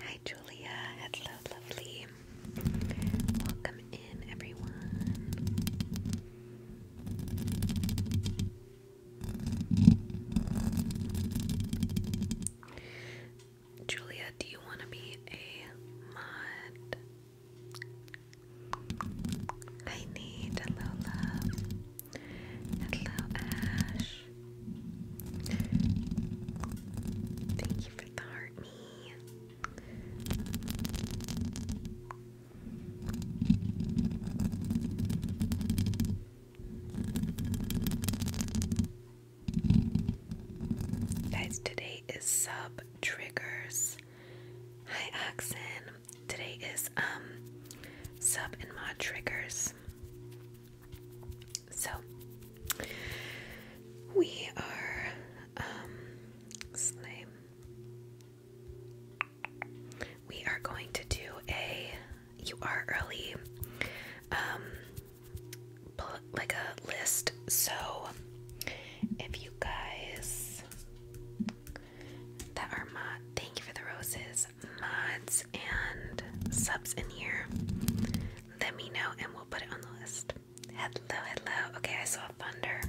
Hi, Julia. Hello, lovely. Welcome in, everyone. Julia, do you want to be a mod? I need hello love. Hello Ash. Thank you for the heart me. Guys, today is sub triggers. Hi, Oxen. Today is um sub and mod triggers. So we are um we are going to do a. You are early. Um, like a list. So, if you guys that are mod, thank you for the roses, mods, and subs in here. Let me know, and we'll put it on the list. Hello, hello. Okay, I saw thunder.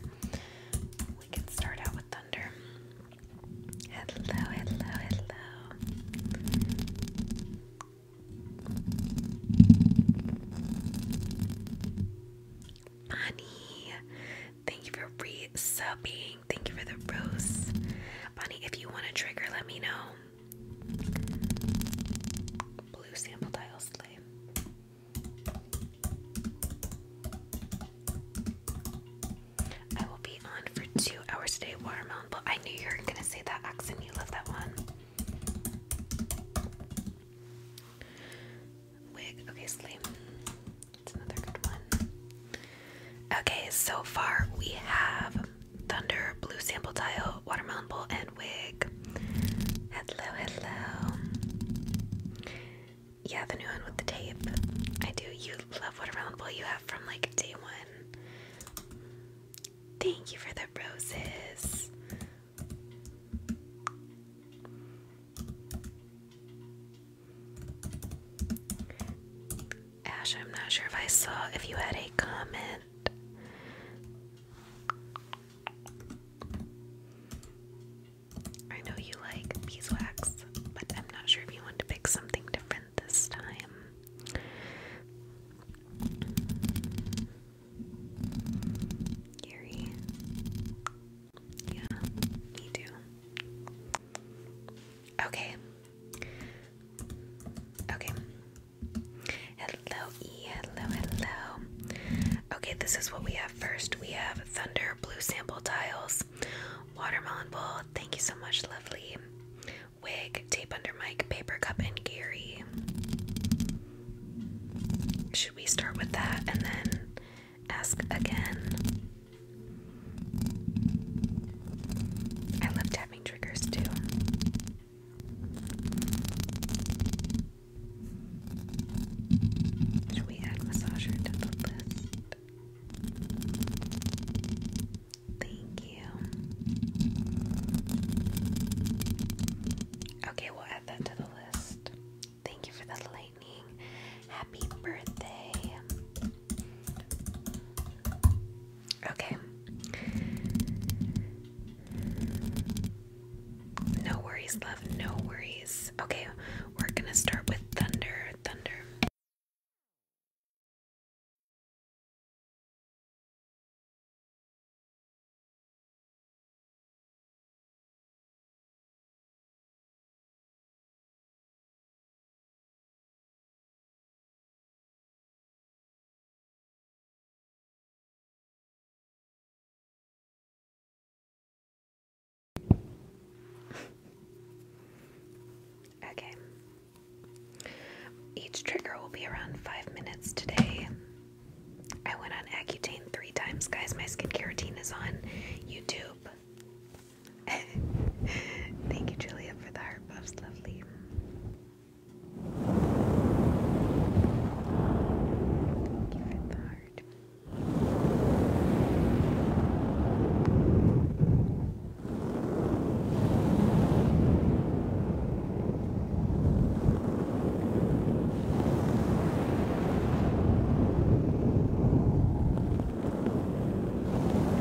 We can start out with thunder. Hello, hello, hello. Bonnie, thank you for resubbing. Thank you for the rose. Bonnie, if you want a trigger, let me know. Blue sample tile slay. I will be on for two hours today, Watermelon. But I knew you were gonna say that accent. You love that one. Wig. Okay, sleep. It's another good one. Okay, so far we have Thunder, Blue Sample Tile, Watermelon Bowl, and wig. Hello, hello. Yeah, the new one with the tape. I do. You love what a round ball you have from like day one. Thank you for the roses. Ash, I'm not sure if I saw if you had a comment. I know you like beeswax, but I'm not sure if you want to pick something different this time. Eerie. Yeah, me too. Okay. Okay. Hello, Hello, hello. Okay, this is what we have first. We have Thunder Blue Sample Tiles, Watermelon ball. Thank you so much, lovely. Wig, Tape Under Mic, Paper Cup, and Gary. Should we start with that and then ask again? I love tapping triggers too. Should we add massager to the list? Thank you. Okay, we'll add that to the list. Thank you for the lightning. Happy birthday. Okay. No worries, love, no worries. Okay, we're gonna start with thunder, thunder. Okay. Each trigger will be around five minutes today. I went on Accutane three times, guys. My skincare routine is on YouTube. Thank you, Julia, for the heart buffs. Lovely hard.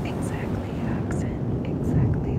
Exactly, accent, exactly.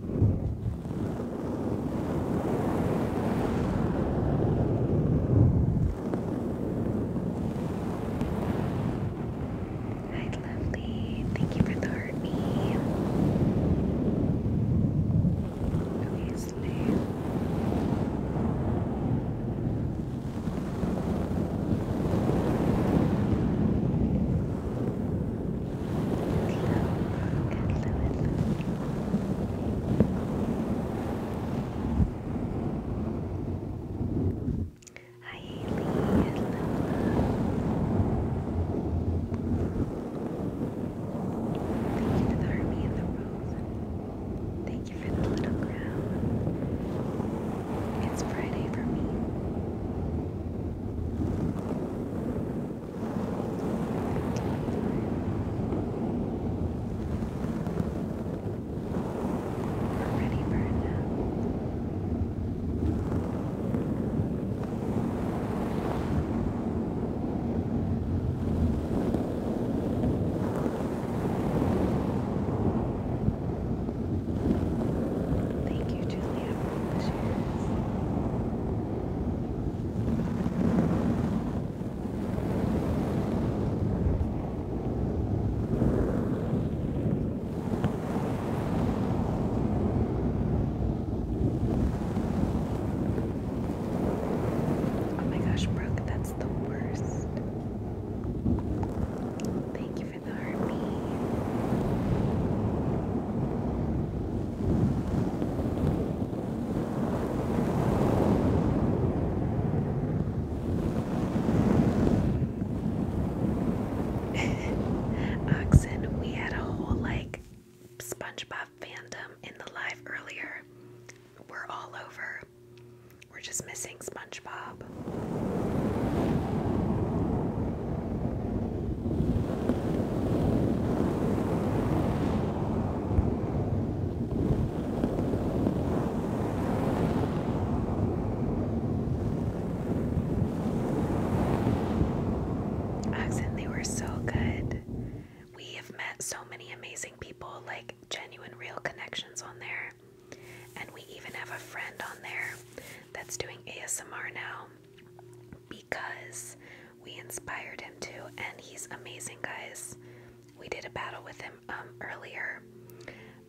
Hi, lovely. Thank you for the heartbeat. Okay, sleep. Hi Haley, Thank you for the army and the rose. Thank you for the little crown. It's Friday for me. We're ready for a nap. Thank you, Julia, Oh my gosh, Brooke, that's the worst. Thank you for the army. Oxen, we had a whole like SpongeBob fandom in the live earlier. We're all over. We're just missing SpongeBob. Accent, they were so good. We have met so many amazing people, like genuine, real connections on there. And we even have a friend on there that's doing ASMR now because we inspired him to, and he's amazing, guys. We did a battle with him um, earlier,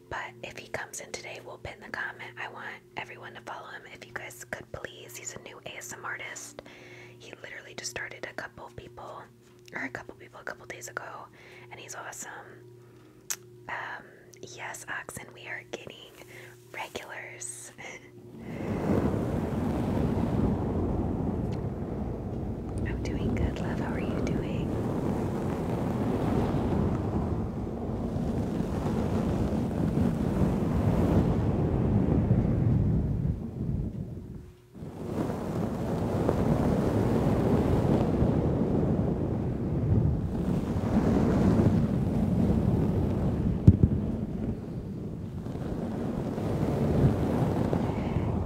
but if he comes in today, we'll pin the comment. I want everyone to follow him if you guys could please. He's a new ASM artist. He literally just started a couple people, or a couple people, a couple days ago, and he's awesome. Um, yes, Oxen, we are getting regulars. I'm doing good, love. How are you doing?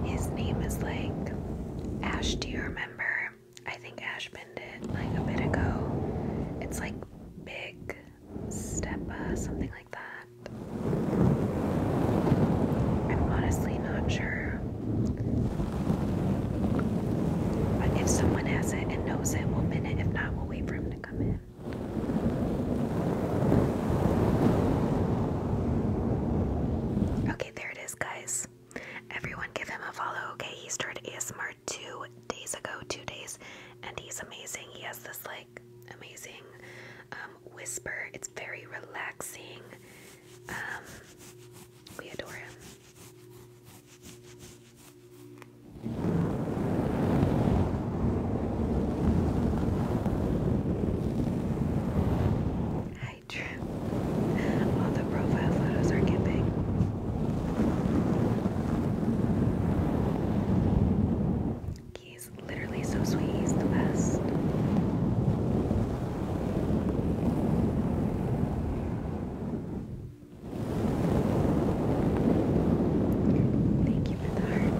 His name is like Ash. Do you remember? I think Ash pinned it like a bit ago. It's like Big Steppa, something like that. I'm honestly not sure. But if someone has it and knows it, we'll pin it. If not, we'll wait for him to come in. Okay, there it is, guys. Everyone give him a follow. Okay, he started ASMR two days ago, two days, and he's amazing. He has this like amazing um, whisper. It's very relaxing. Um, we adore him. Hi, Drew. All the profile photos are giving. He's literally so sweet. He's the best. Thank you for the hearty.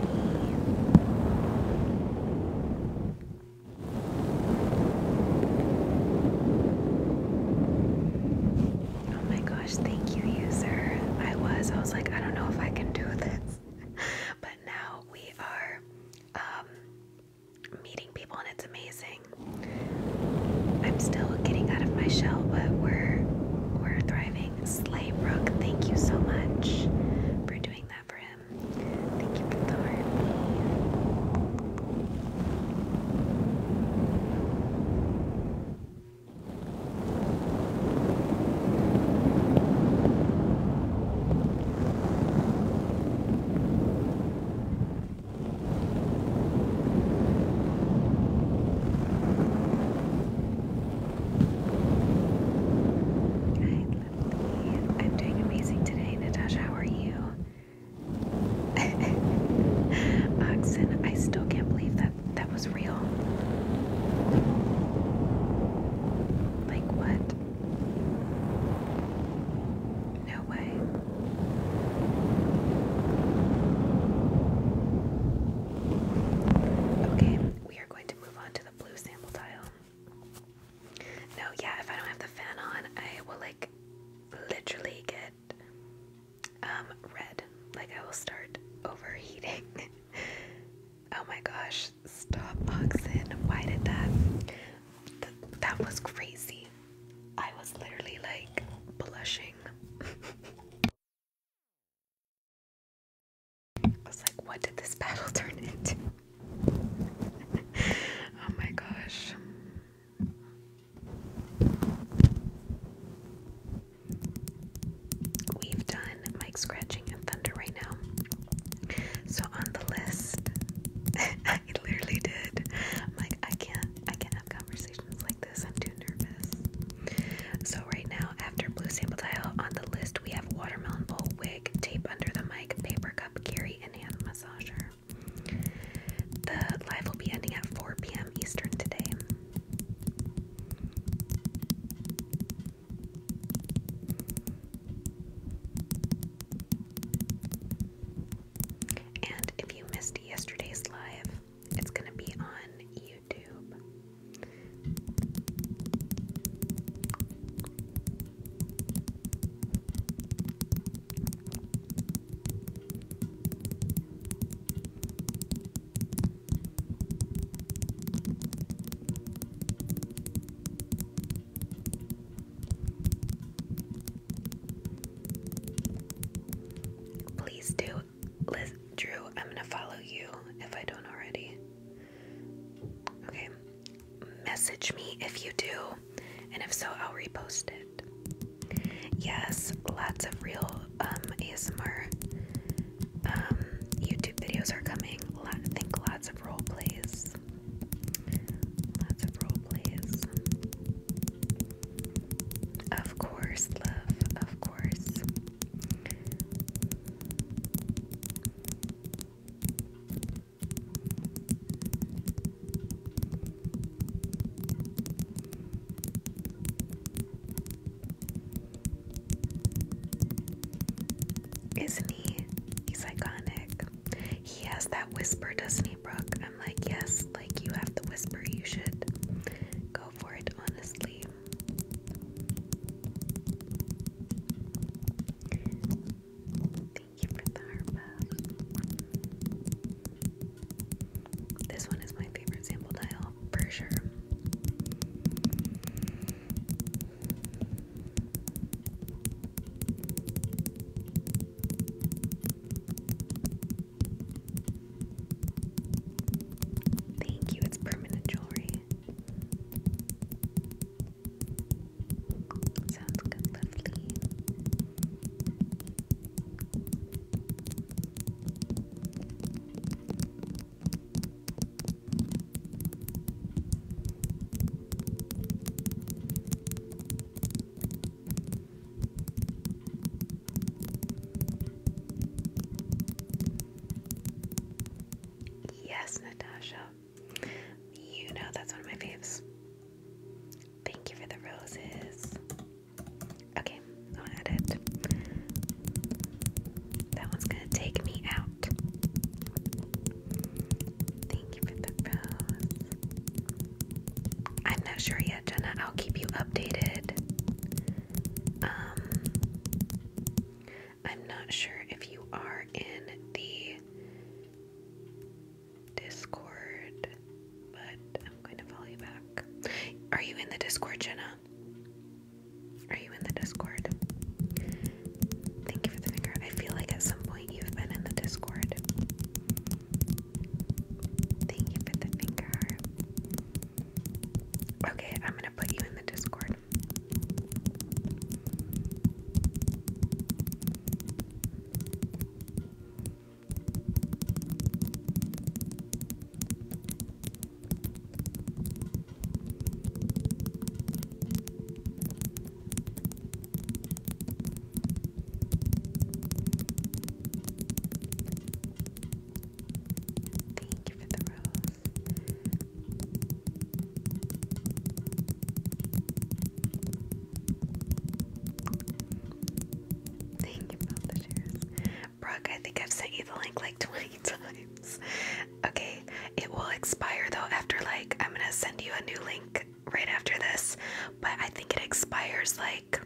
Oh my gosh, thank you, user. I was, I was like, I don't know if I can do this. but now we are um, meeting people and it's amazing. I'm still getting out of my shell, but we're we're thriving giving. Slaybrook, thank you so much for doing that for him. Thank you for the heart. I'm doing amazing today, Natasha. How are you? Oxen, I still can't believe that that was real. Like what? No way. Okay, we are going to move on to the blue sample tile. No, yeah, if I don't have the fan on, I will like literally get um, red. Like I will start overheating. oh my gosh, stop boxing. Why did that? that was crazy. I was literally like blushing. I was like, what did this battle turn into? oh my gosh. We've done mic scratching and thunder right now. So on the list, I literally did. i I can't, I can't have conversation like this. I'm too nervous. So right now, after blue sample tile, on the list we have watermelon bowl wig, tape under the mic, paper cup carry, and hand massager. The live will be ending at 4 p.m. Eastern today. And if you missed yesterday's live, it's gonna be on YouTube. Please do Drew, I'm gonna follow you if I don't already. Okay. Message me if you do, and if so, I'll repost it. Yes, lots of real um, ASMR um, YouTube videos are coming. I think lots of role plays. Lots of role plays. Of course, love. Of course. Isn't he? He's iconic. He has that whisper, doesn't he, Brooke? I'm like, yes, like you have the whisper, you should go for it, honestly. Thank you for the heart This one is my favorite sample dial for sure. Thank you, it's permanent jewelry. Sounds good, lovely. Yes, Natasha. You know that's one of my faves. Thank you for the roses. Okay, I'll edit. That one's gonna take me out. Thank you for the rose. I'm not sure yet, Jenna. I'll keep you updated. Um I'm not sure if you are in the Discord, but I'm going to follow you back. Are you in the Discord, Jenna? Are you in the Discord? Thank you for the finger. I feel like at some point you've been in the Discord. Thank you for the finger. Okay, I'm gonna put you in the Discord. Thank you for the rose. Thank you for the shares. Brooke, I think I've sent you the link like 20 times. Okay, it will expire though after like, I'm gonna send you a new link right after this, but I think it expires like,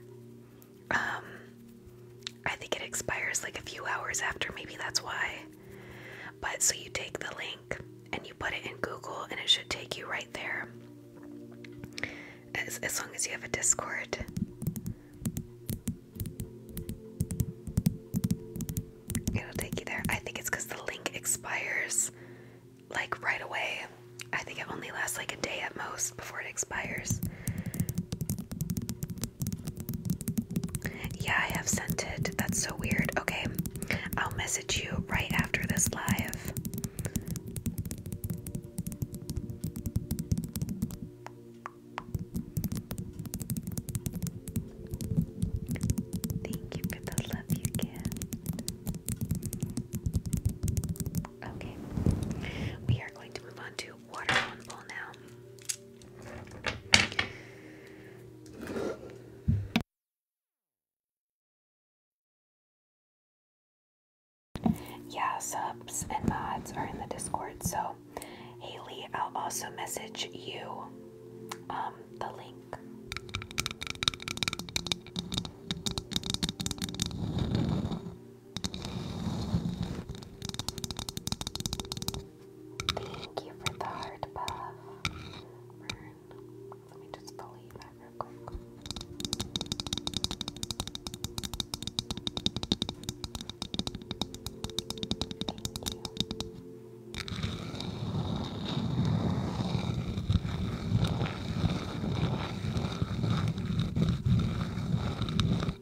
um, I think it expires like a few hours after, maybe that's why. But so you take the link and you put it in Google, and it should take you right there. As, long as you have a Discord. It'll take you there. I think it's because the link expires like right away. I think it only lasts like a day at most before it expires. Yeah, I have sent it. That's so weird. Okay, I'll message you right after this live. Okay, we are going to move on to water one now. Yeah, subs and mods are in the Discord. So, Haley, I'll also message you um, the link. Thank you for the heart buff. Let me just believe that real quick. Oh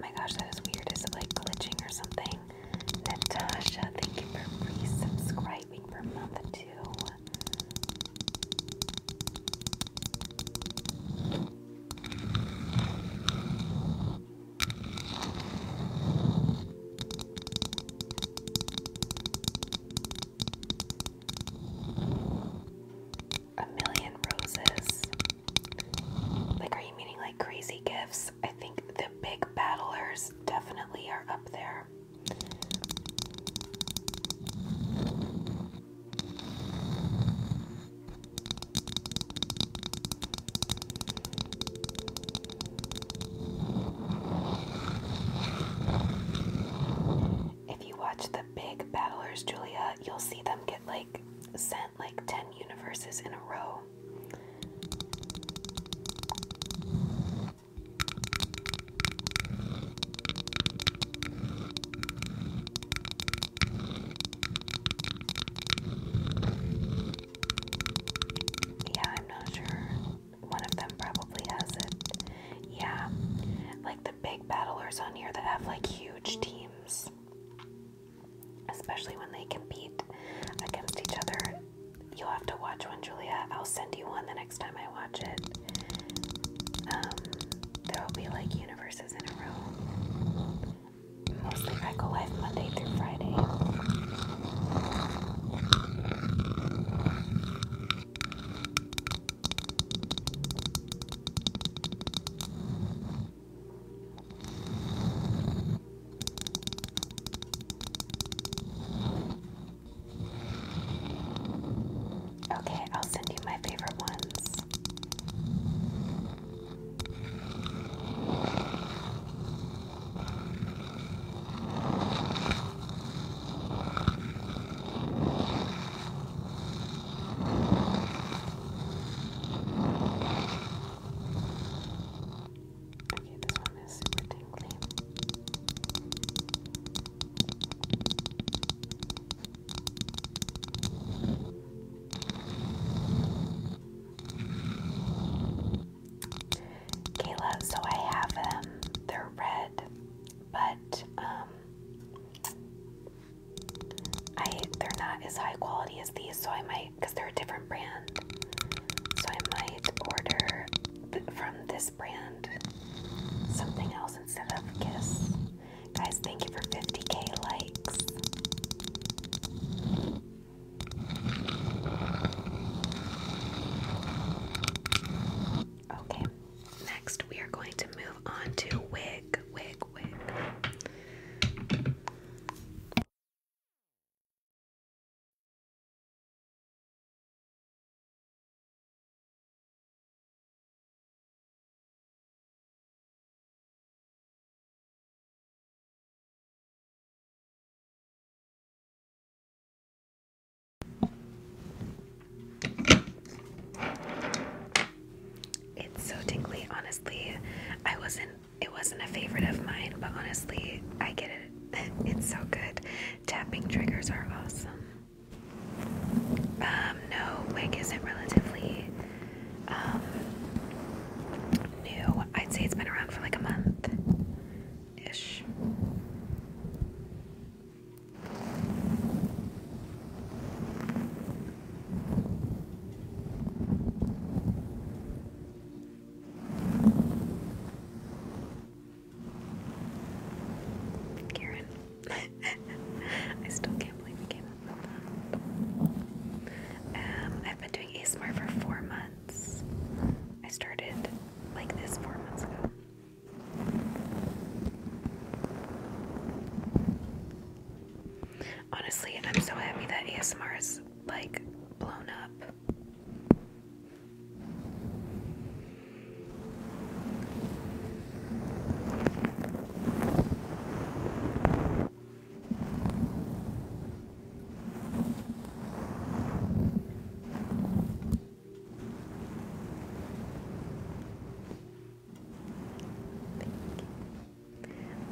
my gosh, that is weird. Is it like glitching or something? Natasha, thank you for resubscribing. A million roses. Like, are you meaning like crazy gifts? I think the big battlers definitely are up there. If you watch the big battlers, Julia, you'll see them get like sent like 10 universes in a row. Yeah, I'm not sure. One of them probably has it. Yeah, like the big battlers on here that have like huge teams, especially when they compete against each other, You'll have to watch one, Julia. I'll send you one the next time I watch it. Um, there will be like universes in a row. Mostly I go live Monday through Friday. Okay, I'll send you my favorite ones. Okay, this one is super tingly. Kayla, so I have them. Um, they're red, but um, I they're not as high quality as these, so I might they're a different brand. So I might order from this brand something else instead of Kiss. Guys, thank you for 50k likes. Okay, next we are going to move on to wig, wig, wig. It's so tingly, honestly. I wasn't it wasn't a favorite of mine, but honestly, I get it. It's so good. Tapping triggers are awesome. Um, no, wig isn't relatively um, new. I'd say it's been around for like a month ish. Karen. I still can't believe we came up with that. Um, I've been doing ASMR for four months. I started like this four months ago. Honestly, I'm so happy that ASMR is like blown up.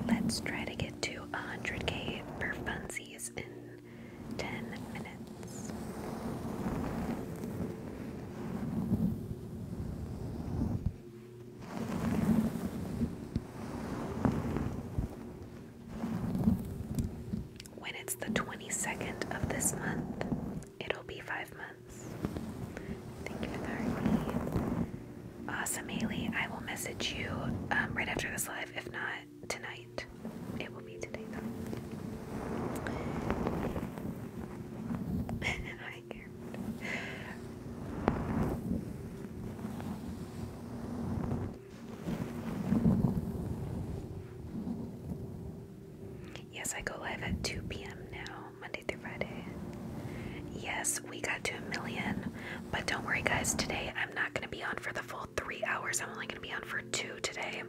Let's try to get to 100k per funsies in 10 minutes. When it's the 22nd of this month, it'll be five months. Thank you for that, Awesome, Haley. I will message you um, right after this live. If not, tonight. It will be today though. I can Yes, I go live at 2 p.m. now, Monday through Friday. Yes, we got to a million, but don't worry, guys. Today I'm not going to be on for the full three hours. I'm only going to be on for two today.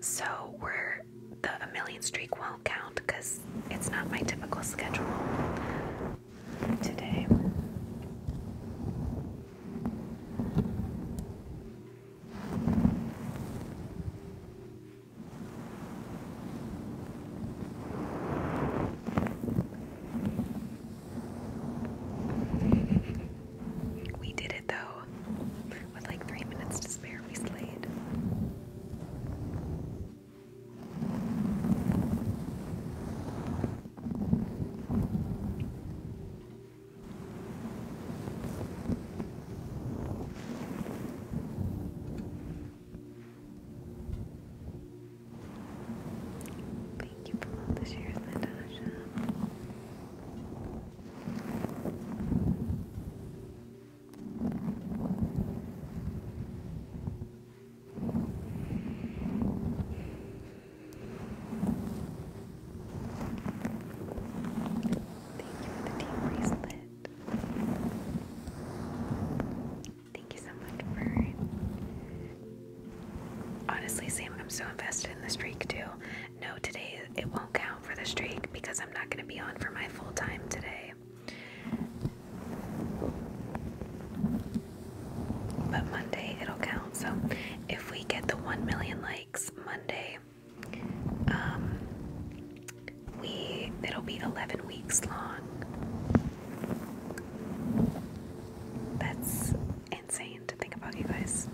So we're the million streak won't count because it's not my typical schedule today. We did it though. With like three minutes to spare, we slayed. Thank you for all the Natasha for the team bracelet. Thank you so much, Bird. Honestly, Sam, I'm so invested in this streak too. No, today it won't count for the streak because I'm not going to be on for my full time today. But Monday it'll count. So if we get the 1 million likes Monday, um, we it'll be 11 weeks long. That's insane to think about you guys.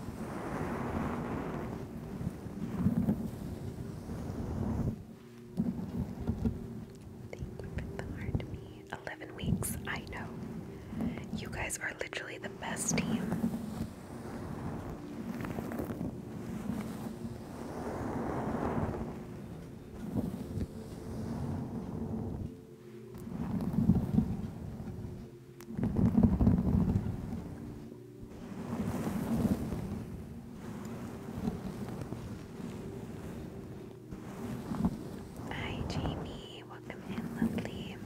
11 weeks, I know. You guys are literally the best team. Hi, Jamie. Welcome in, lovely.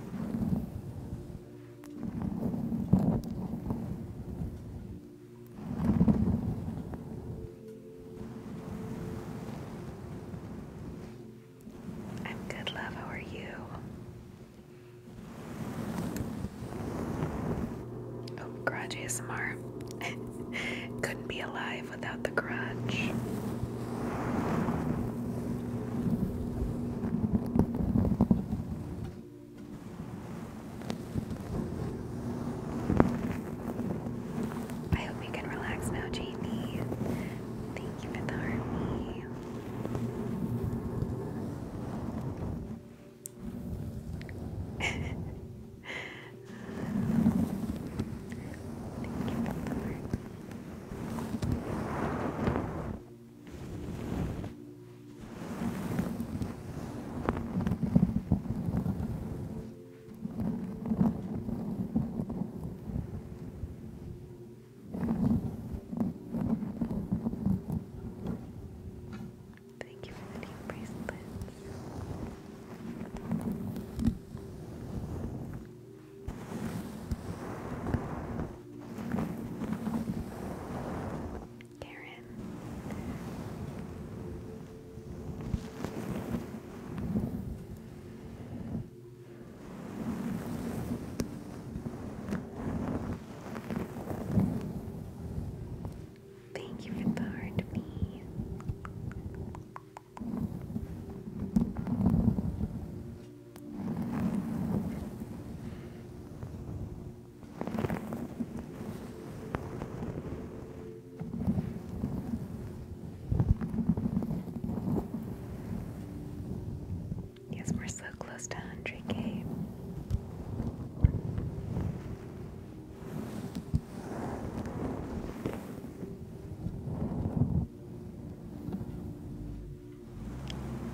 I'm good, love. How are you? Oh, garage ASMR. Couldn't be alive without the Grudge. I hope you can relax now, Jamie. Thank you for the army. Thank you for the heart. Thank Thank you for the new bracelets. Karen. Thank you for the heart, me. Yes, we're so close to 100k.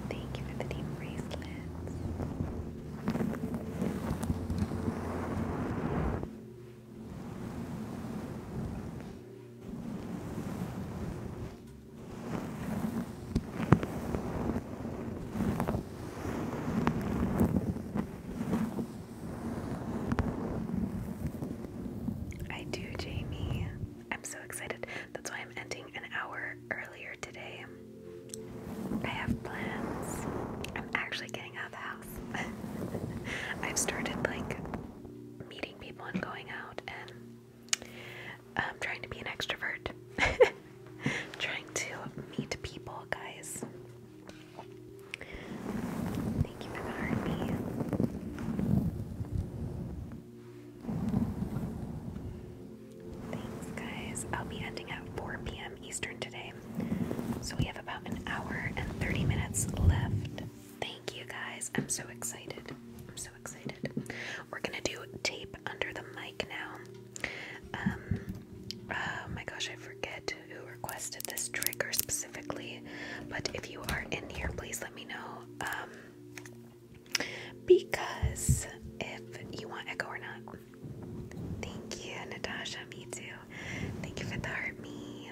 Thank you for the team bracelets. I do, Jamie. I'm so excited. That's why I'm ending an hour earlier today. I have plans. I'm actually getting out of the house. I've started like meeting people and going out and I'm trying to be an extrovert. trying to meet people, guys. Thanks, guys. I'll be ending at 4 p.m. Eastern today. So we have about an hour and 30 minutes left. Thank you, guys. I'm so excited so excited. We're gonna do tape under the mic now. Um, oh my gosh, I forget who requested this trigger specifically, but if you are in here, please let me know. Um, because if you want echo or not. Thank you, Natasha. Me too. Thank you for the heart, me.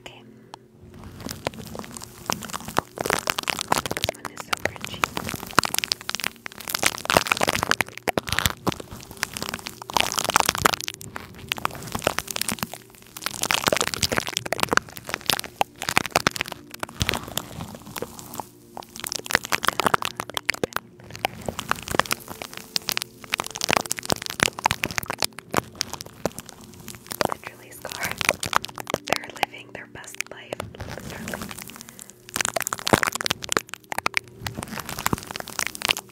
Okay. This one is so crunchy. Literally scarred. They're living their best life. Literally. It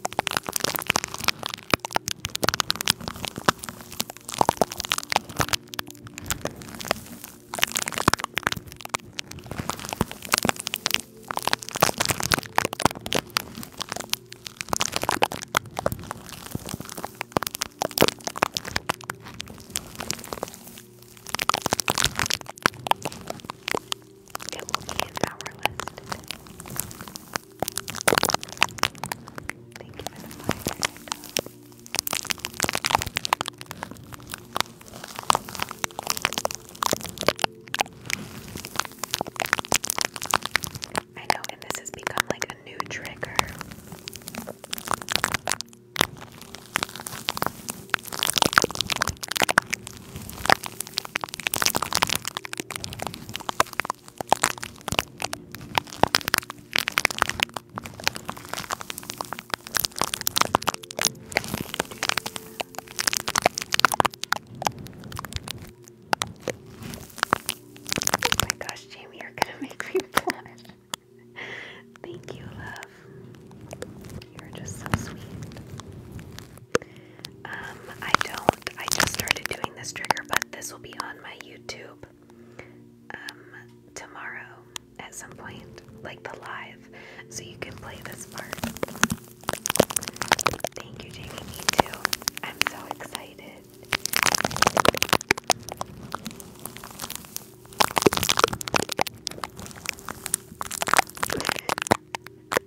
will be in our list. Thank you for the fire. I know, and this has become like a new trigger. Oh my gosh, Jamie, you're gonna make me blush. Thank you, love. You're just so sweet. Um, I don't, I just started doing this trigger, but this will be on my YouTube um, tomorrow at some point, like the live, so you can play this part. Thank you, Jamie. Me too. I'm so excited.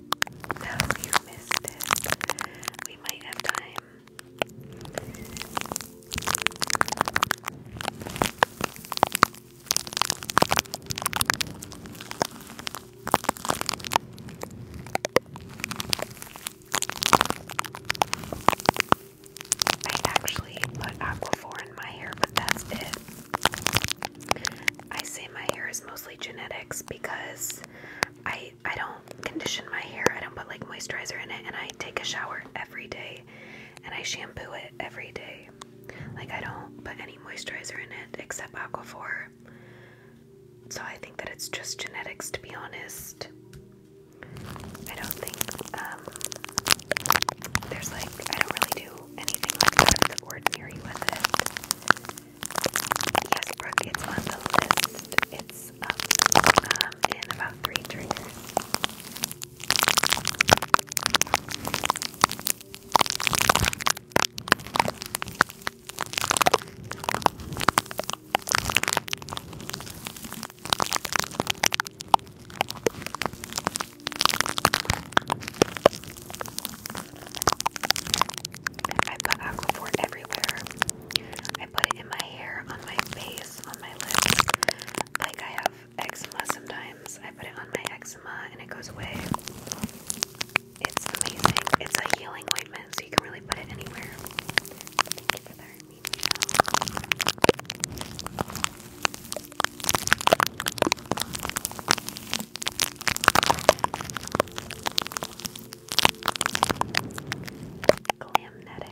No, you missed it. We might have time. I actually put Aquaphor in my hair, but that's it. I say my hair is mostly genetics because I I don't condition my hair. I don't put like moisturizer in it and I take a shower every day and I shampoo it every day. Like I don't put any moisturizer in it except Aquaphor. So I think that it's just genetics to be honest. I don't think um, there's like I don't really do anything like that of the ordinary with it. Yes, Brooke, it's on the list. It's up um, in um, about three triggers. I've Aquaphor everywhere. I put it in my hair, on my face, on my lips. Like I have eczema sometimes. I put it on my eczema and it goes away. It's amazing. It's a healing ointment, so you can really put it anywhere. Glamnetic.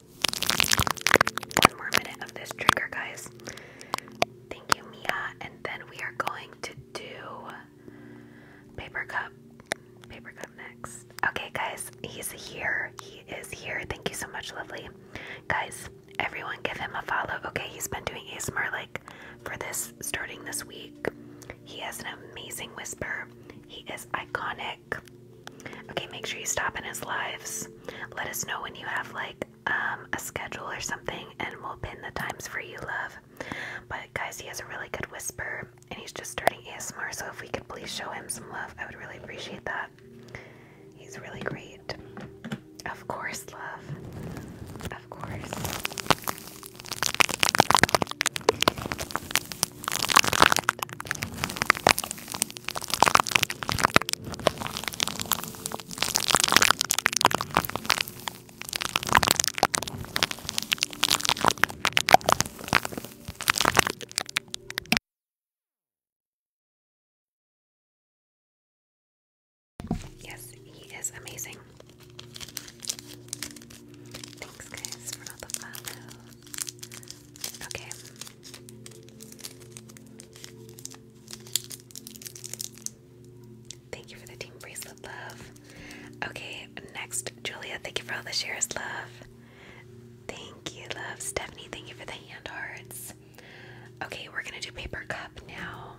One more minute of this trigger, guys. Thank you, Mia. And then we are going to do paper cup. Paper cup next. Okay, guys, he's here. He is here. Thank you so much, lovely. Guys, everyone give him a follow. Okay, he's been doing ASMR like for this starting this week. He has an amazing whisper. He is iconic. Okay, make sure you stop in his lives. Let us know when you have like um, a schedule or something and we'll pin the times for you, love. But guys, he has a really good whisper and he's just starting ASMR, so if we could please show him some love, I would really appreciate that. He's really great. Of course, love. Of course. Yes, he is amazing. Thanks, guys, for all the follows. Okay, Thank you for the team bracelet, love. Okay, next, Julia, thank you for all the shares, love. Thank you, love. Stephanie, thank you for the hand hearts. Okay, we're gonna do paper cup now.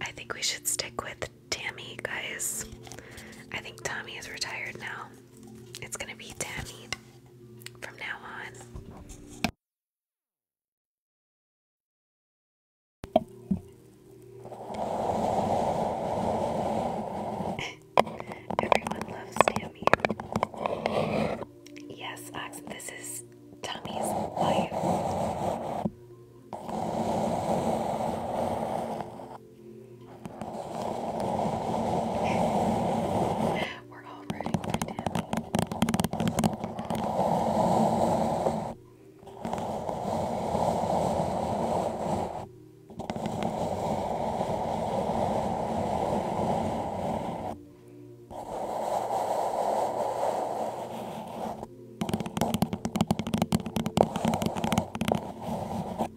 I think we should stick with Tammy, guys. I think Tommy is retired now. It's gonna be Tammy from now on. Everyone loves Tammy. Yes, Oxen, this is Tommy's life. We're all rooting for Tammy.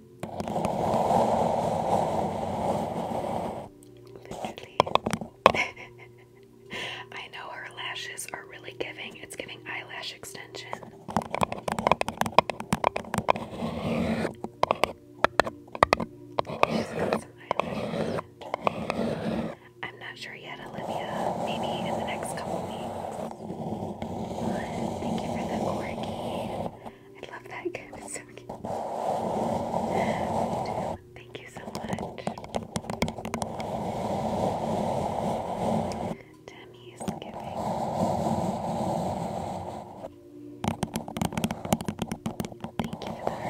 Literally. I know her lashes are really giving. It's giving eyelash extension. I'm not sure yet, Olivia. Maybe in the next couple weeks. thank you for the corgi. I love that again. It's so cute. Thank you so much. Tammy is giving. Thank you for the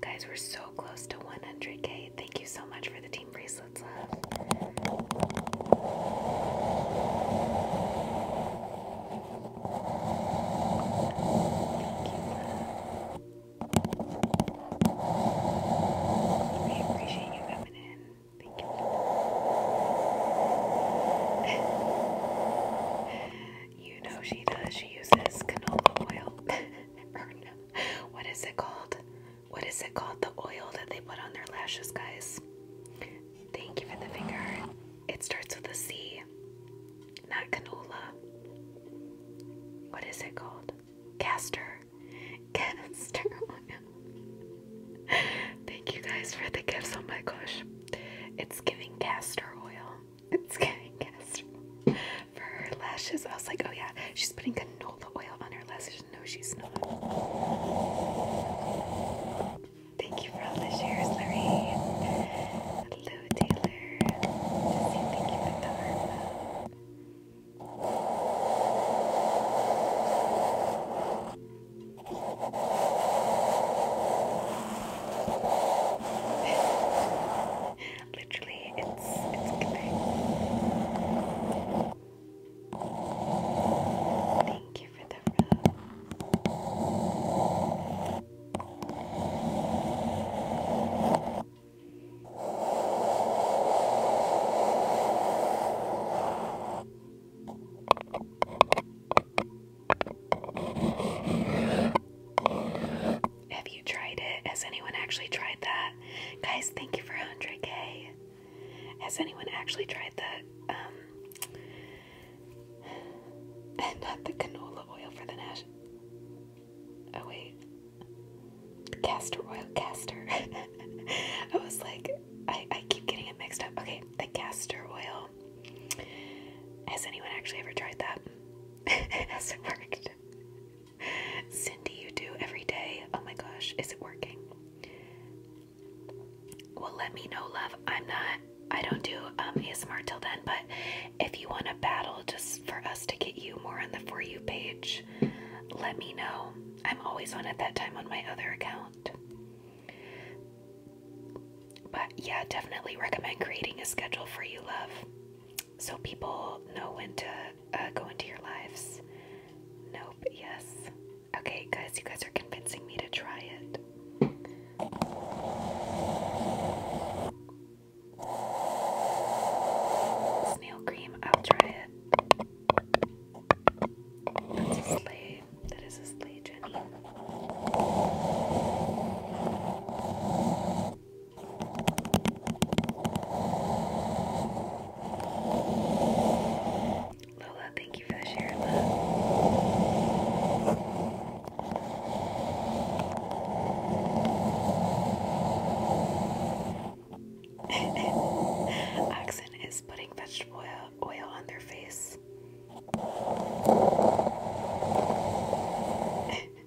guys, we're so close to 100k. Thank you so much for the team bracelets, love. Thank appreciate you coming in. Thank you. you know she does. She uses canola oil. what is it called? What is it called? The oil that they put on their lashes, guys. Thank you for the finger. It starts with a C. Not canola. What is it called? Castor. Castor Thank you guys for the gifts. Oh my gosh. It's giving castor oil. It's giving castor her lashes. I was like, oh yeah, she's putting canola oil on her lashes. No, she's not. Thank you for all the shares, Lorraine. Hello, Taylor. thank you for the heart. Literally, it's it's killing. Thank you for the rub. Have you tried it? Has anyone actually tried that? Guys, thank you for 100k. Has anyone actually tried the, um, and not the canola oil for the Nash? Oh, wait. Castor oil, castor. I was like, I, I keep getting it mixed up. Okay, the castor oil. Has anyone actually ever tried that? Has it worked? Cindy, you do every day. Oh my gosh, is it working? Well, let me know, love. I'm not, I don't do um, ASMR till then, but if you want a battle just for us to get you more on the For You page, let me know. I'm always on at that time on my other account. But yeah, definitely recommend creating a schedule for you, love. So people know when to uh, go into your lives. Nope, yes. Okay, guys, you guys are convincing me to try it. Snail cream, I'll try it. That's a sleigh. That is a sleigh, Lola, thank you for sharing that. Oxen is putting vegetable oil, oil on their face.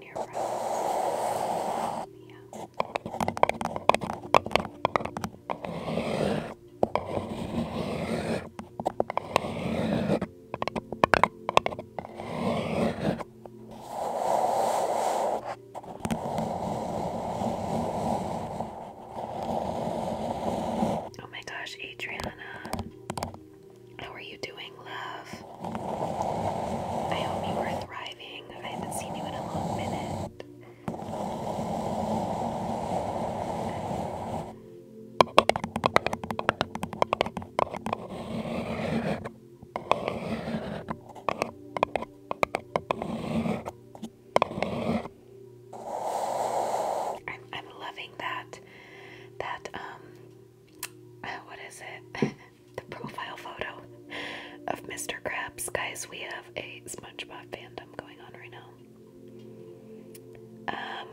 Oh my gosh, Adriana. How are you doing, love? I hope you are thriving. I haven't seen you in a long minute. I'm, loving that, that, um, what is it? the profile photo of Mr. Krabs. Guys, we have a SpongeBob fandom going on right now.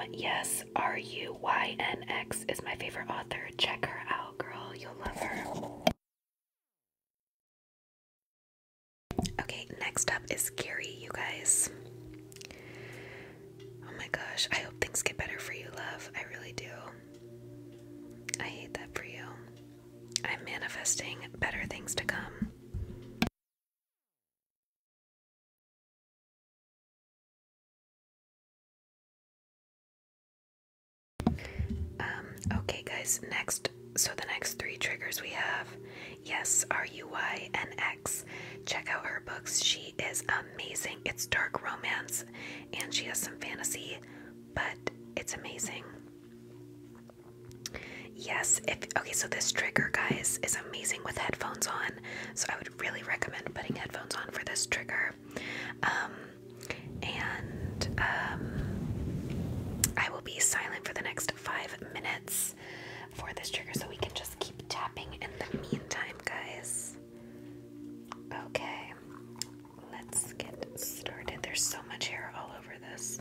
Um, yes, R U Y N X is my favorite author. Check her out, girl. You'll love her. Okay, next up is Gary, you guys. Oh my gosh, I hope things get better for you, love. I really do. I hate that for you. I'm manifesting better things to come. Um, okay, guys, next. So, the next three triggers we have yes, R U Y and X. Check out her books. She is amazing. It's dark romance and she has some fantasy but it's amazing. Yes, if okay, so this trigger, guys, is amazing with headphones on. So I would really recommend putting headphones on for this trigger. Um, and um, I will be silent for the next five minutes for this trigger, so we can just keep tapping in the meantime, guys. Okay, let's get started. There's so much hair all over this.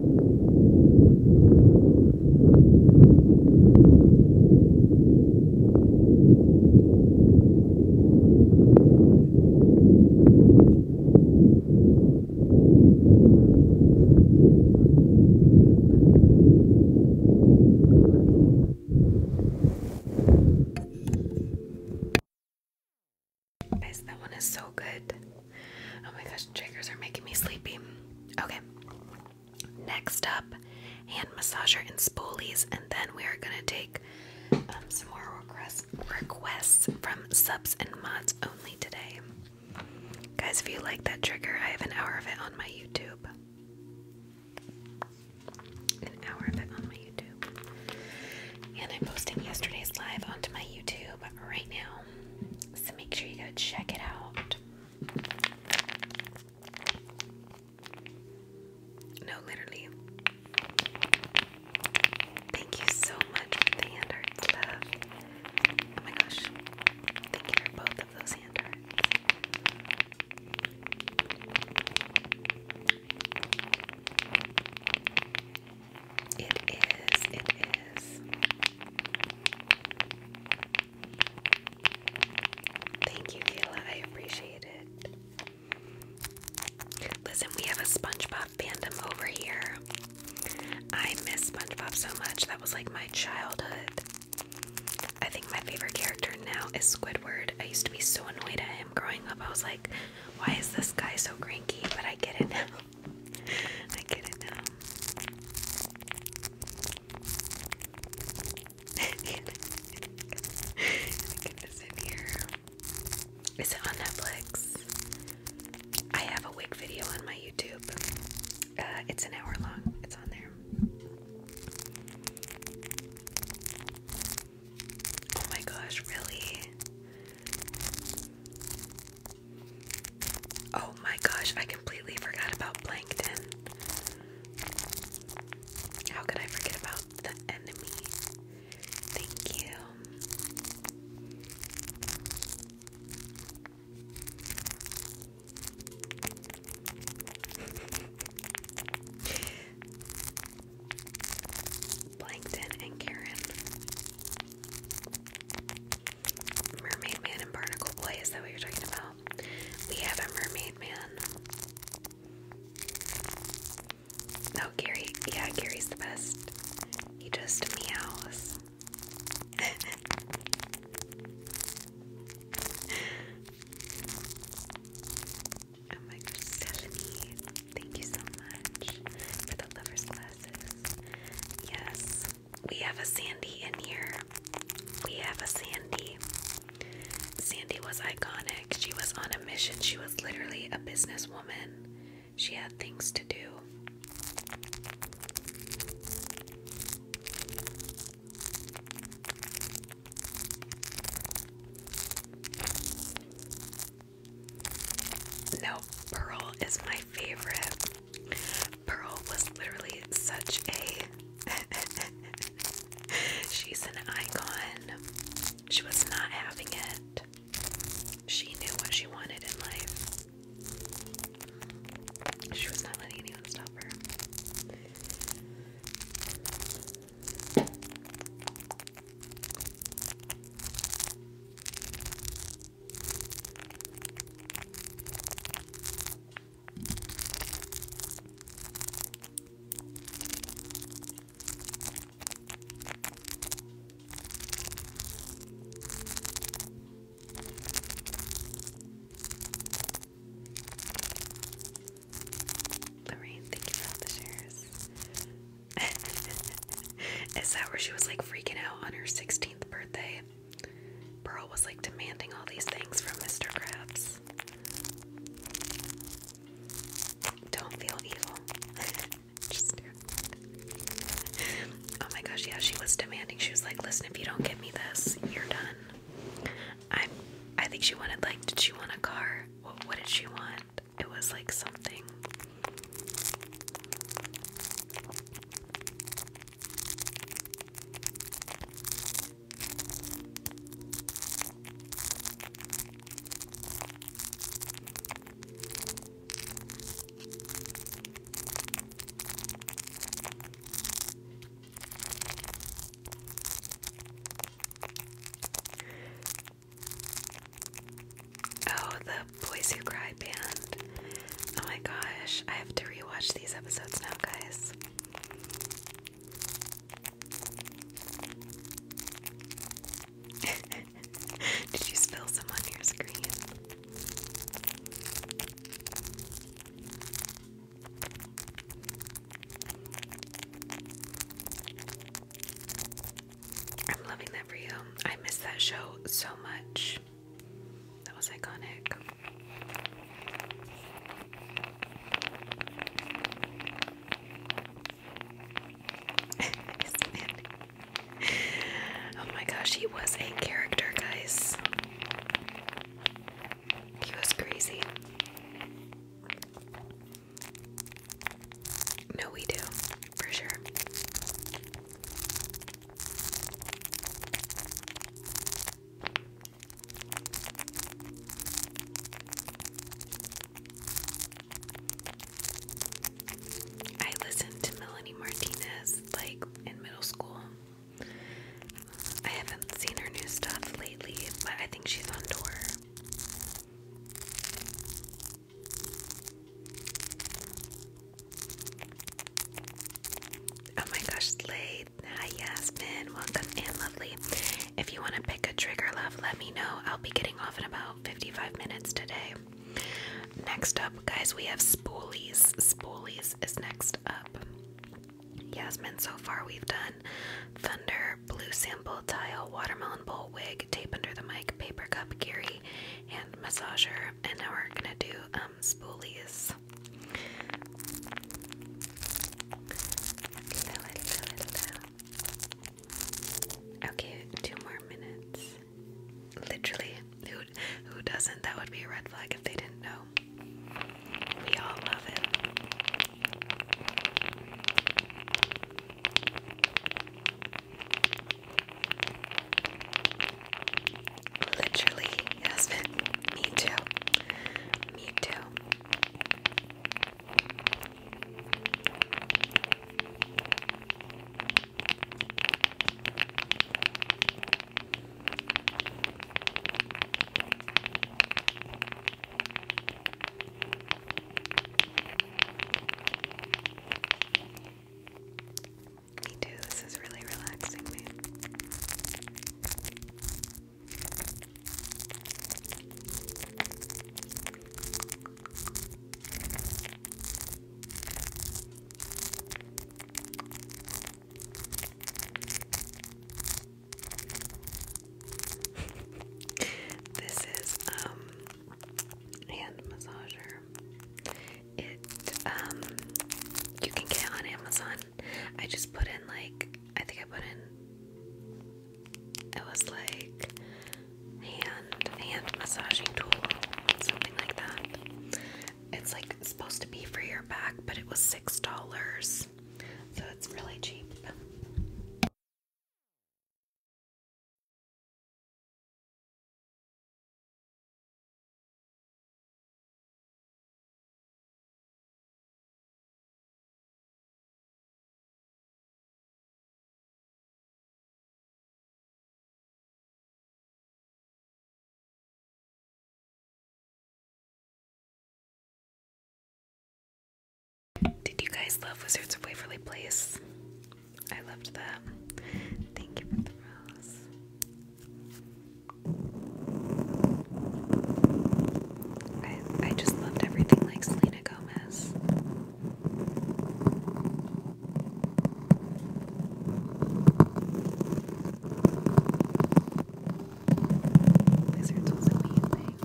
Guys, that one is so good. Oh my gosh, triggers are making me sleepy. Okay. Next up, hand massager and spoolies, and then we are gonna take um, some more requests requests from subs and mods only today. Guys, if you like that trigger, I have an hour of it on my YouTube. An hour of it on my YouTube. And I'm posting yesterday's live onto my YouTube right now. So make sure you go check it out. No, literally. Thank you so much for the hand hearts, love. Oh my gosh. Thank you both of those hand hearts. It is, it is. Thank you, Kayla. I appreciate it. Listen, we have a SpongeBob fandom over here. I miss SpongeBob so much. That was like my childhood. I think my favorite character now is Squidward. I used to be so annoyed at him growing up. I was like, why is this guy so cranky? But I get it now. I get it now. Get it on Netflix? I have a wig video on my YouTube. Uh, it's an hour long. It's on there. Oh my gosh, really? Oh my gosh, I completely forgot about plankton. How could I forget about the enemy? Thank you. Plankton and Karen. Mermaid Man and Barnacle Boy, is that what you're talking about? We have a Mermaid Man. No, Gary. Yeah, Gary's the best. He just meows. oh my gosh, Stephanie. Thank you so much for the lover's glasses. Yes. We have a Sandy in here. We have a Sandy. Sandy was iconic. She was on a mission. She was literally a businesswoman. She had things to do. No, Pearl is my favorite. Pearl was literally such a. She's an icon. She was not having it. She knew what she wanted in life. She was not letting anyone stop her. Lorraine, thank you for all the shares. Is that where she was like freaking out on her 16th birthday? Pearl was like demanding all these things from Mr. Krabs. Don't feel evil. Oh my gosh, yeah, she was demanding. She was like, listen, if you don't give me this, you're done. I I think she wanted like did she want a car? what did she want? It was like something. Oh, the Boys Who Cry band. Oh my gosh, I have to rewatch these episodes now, guys. Did you spill some on your screen? I'm loving that for you. I miss that show so much. That was iconic. oh my gosh, he was a character, guys. He was crazy. No, we do, for sure. I listened to Melanie Martinez like in middle school. I haven't seen her new stuff lately, but I think she's on tour. Oh my gosh, Slade. Hi, Yasmin. Welcome and lovely. If you want to pick a trigger, love, let me know. I'll be getting off in about 55 minutes today. Next up, guys, we have spoolies. Spoolies is next up. Yasmin, so far we've done thunder, blue sample, tile, watermelon bowl, wig, tape under the mic, paper cup, Gary, hand massager, and now we're gonna do um, spoolies. Okay, two more minutes. Literally, who who doesn't? That would be a red flag if they didn't know. We all love it. Literally, Yasmin. Me too. Me too. Me too. This is really relaxing me this is um hand massager. It um you can get on Amazon I just put in like I think I put in it was like hand hand massaging tool something like that. It's like supposed to be for your back, but it was six dollars. So it's really cheap. Did you guys love Wizards of Waverly Place? I loved that. Thank you for the rose. I, just loved everything like Selena Gomez. Lizards was amazing.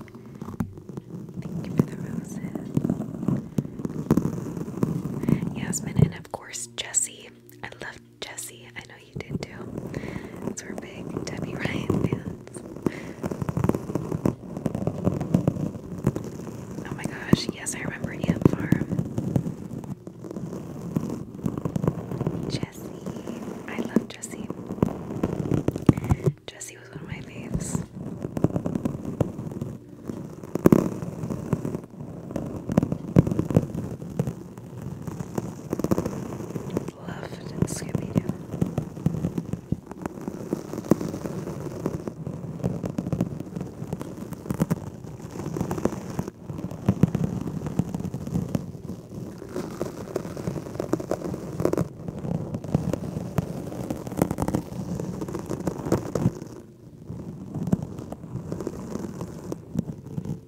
Thank you for the roses. Yasmin and of course Jesse. I love Jesse, I know you did too. we're big Debbie Ryan fans. Oh my gosh, yes, I remember Ant Farm. Jesse, I love Jesse. Jesse was one of my faves. Loved Scooby Doo.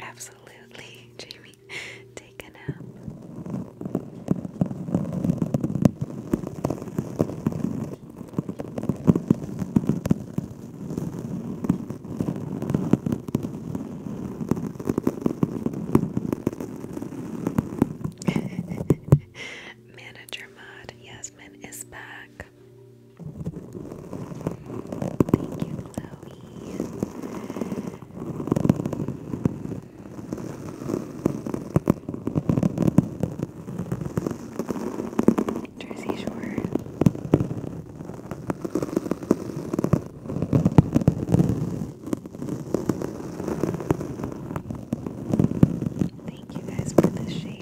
Absolutely, Jamie. Take a nap. Manager mod, Yasmin is back. Thank you, Chloe. Jersey Shore. Thank you guys for the share.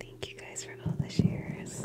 Thank you guys for all the shares.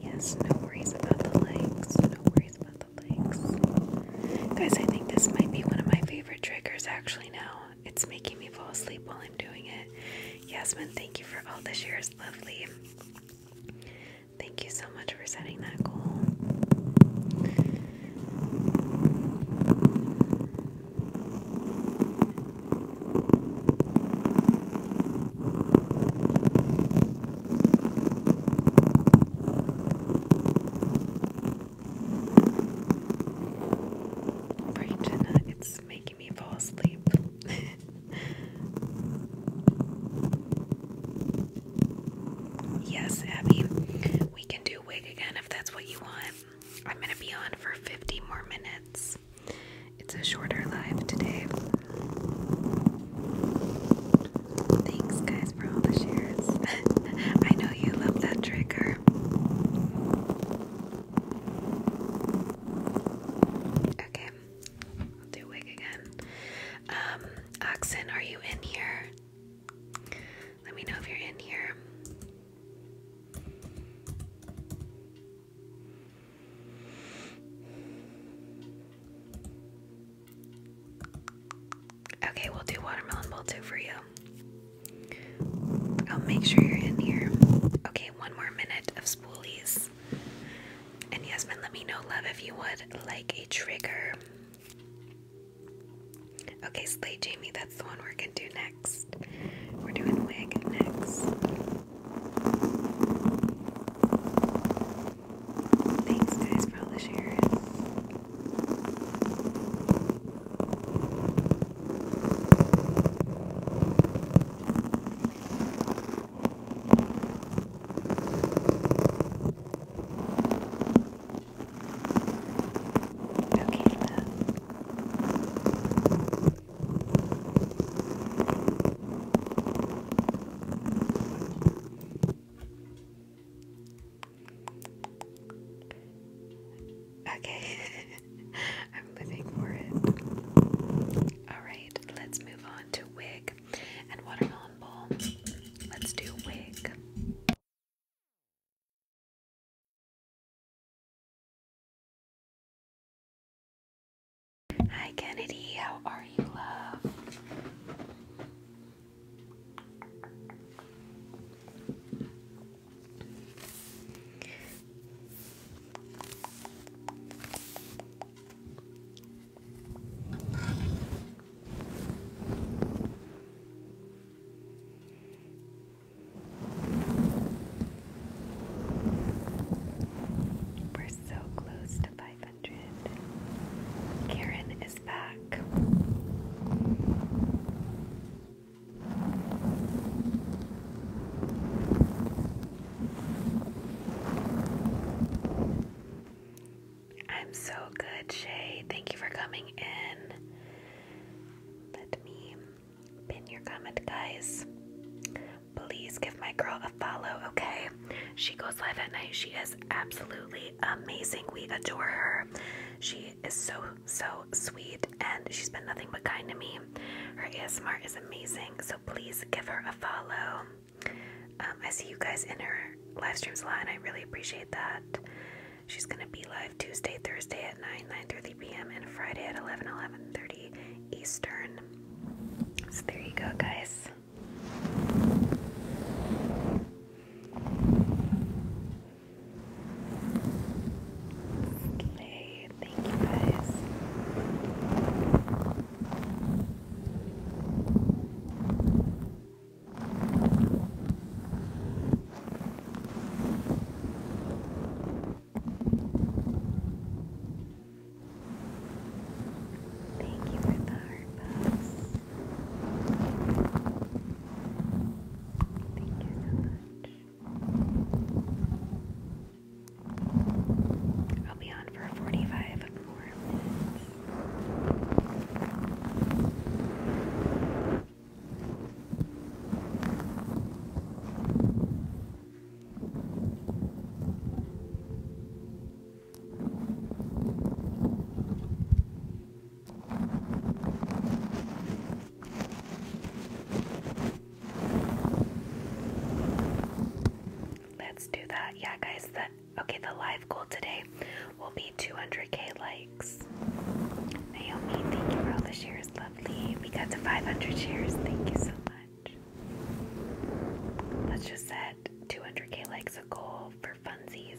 Yes, no worries about the legs. No worries about the legs. Guys, I think this might be one of my favorite triggers actually now. It's making me fall asleep while I'm doing it. Yasmin, thank you for all the year's Lovely. Thank you so much for setting that goal. Right, Jenna, it's making me fall asleep. Yes, Abby, we can do wig again if that's what you want. I'm gonna be on for 50 more minutes. It's a shorter live today. Thanks, guys, for all the shares. I know you love that trigger. Okay, I'll do wig again. Um, Oxen, are you in here? Let me know if you're in here. Okay, we'll do watermelon bowl two for you. I'll make sure you're in here. Okay, one more minute of spoolies. And Yasmin, let me know, love, if you would like a trigger. Okay, Slay Jamie, that's the one we're gonna do next. We're doing wig next. Thanks, guys, for all the shares. Okay, love. Okay, I'm living for it. Alright, let's move on to wig and watermelon bowl. Let's do wig. Hi, Kennedy. How are you, love? We're so close to 500. Karen is back. I'm so good, Shay. Thank you for coming in. Let me pin your comment, guys. Please give my girl a follow, okay? She goes live at night. She is absolutely amazing. We adore her. She is so, so sweet, and she's been nothing but kind to me. Her ASMR is amazing, so please give her a follow. Um, I see you guys in her live streams a lot, and I really appreciate that. She's gonna be live Tuesday, Thursday at 9, 9.30 p.m. and Friday at 11, 11.30 Eastern. So there you go, guys. Okay, thank you guys. Thank you for the heart buzz. Thank you so much. I'll be on for 45 more Let's do that. Yeah, guys, the Okay, the live goal today will be 200k likes. Naomi, thank you for all the shares, lovely. We got to 500 shares, thank you so much. Let's just set 200k likes a goal for funsies.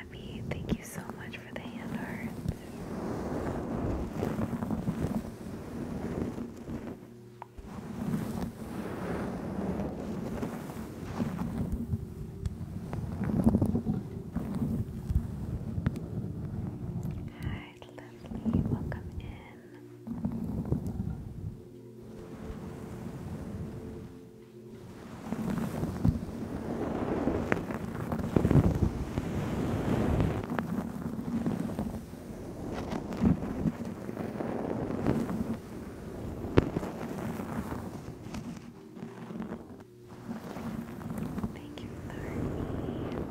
Abby, thank you so much for the hand hearts. Hi, Leslie, welcome in. Thank you, Larry.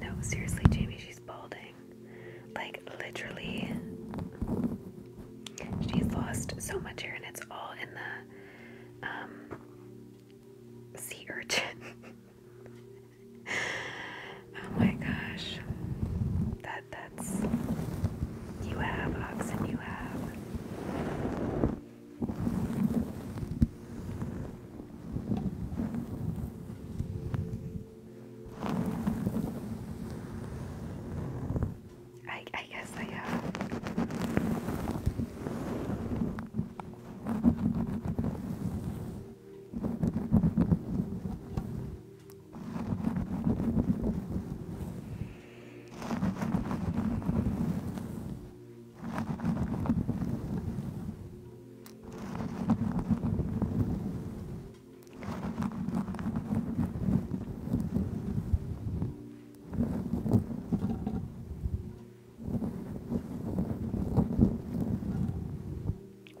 No, seriously, Jamie, she's balding. Like, literally, she's lost so much hair, and it's all in the um, sea urchin. oh my gosh, that that's you have oxen, you have. I, guess I have. Uh,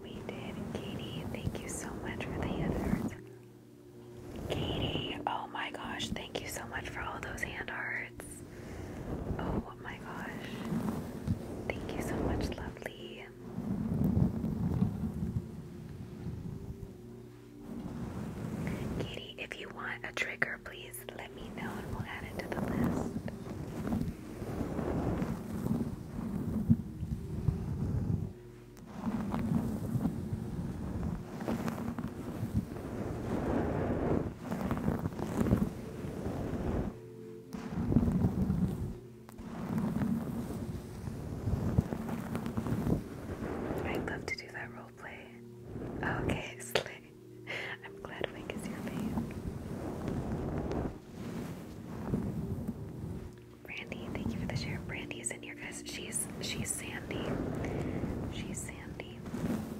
we did, Katie. Thank you so much for the hand Katie, oh my gosh, thank you so much for all those hand arts. Oh my gosh. Thank you so much, lovely. Katie, if you want a trigger, please let me know and we'll add it to the list. I'd love to do that role play. okay, Slay. I'm glad Wink is your fave. Brandy, thank you for the share. Brandy is in here, guys. She's she's Sandy. She's Sandy.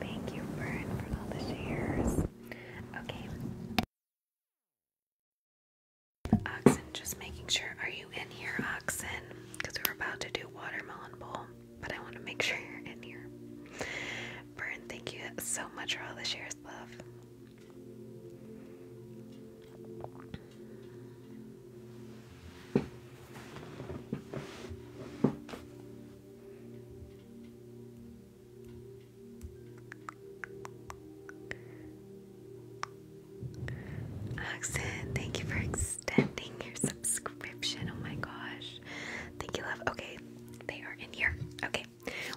Thank you, Fern, for all the shares. Okay. Oxen, just making sure. Are you in here, Oxen? Because we are about to do watermelon bowl, but I want to make sure you're in here. Fern, thank you so much for all the shares, love. Oxen, thank you for extending your subscription. Oh my gosh. Thank you, love. Okay, they are in here. Okay,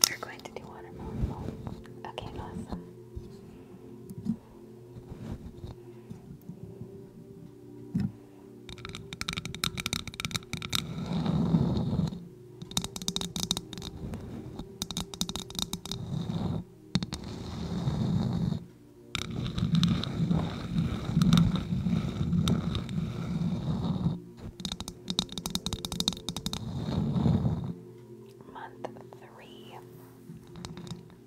we're going to do watermelon. Okay, awesome. Month three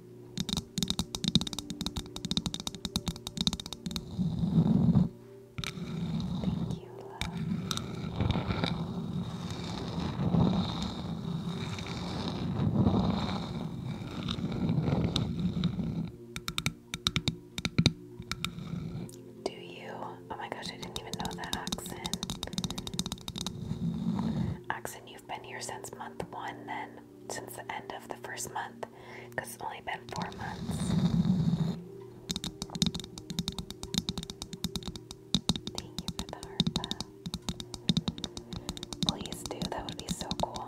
Thank you, love. Do you? Oh my gosh, I didn't even know that, Oxen. Oxen, you've been here since month one, then since the end of the first month because it's only been four months. Thank you for the heart Please do, that would be so cool.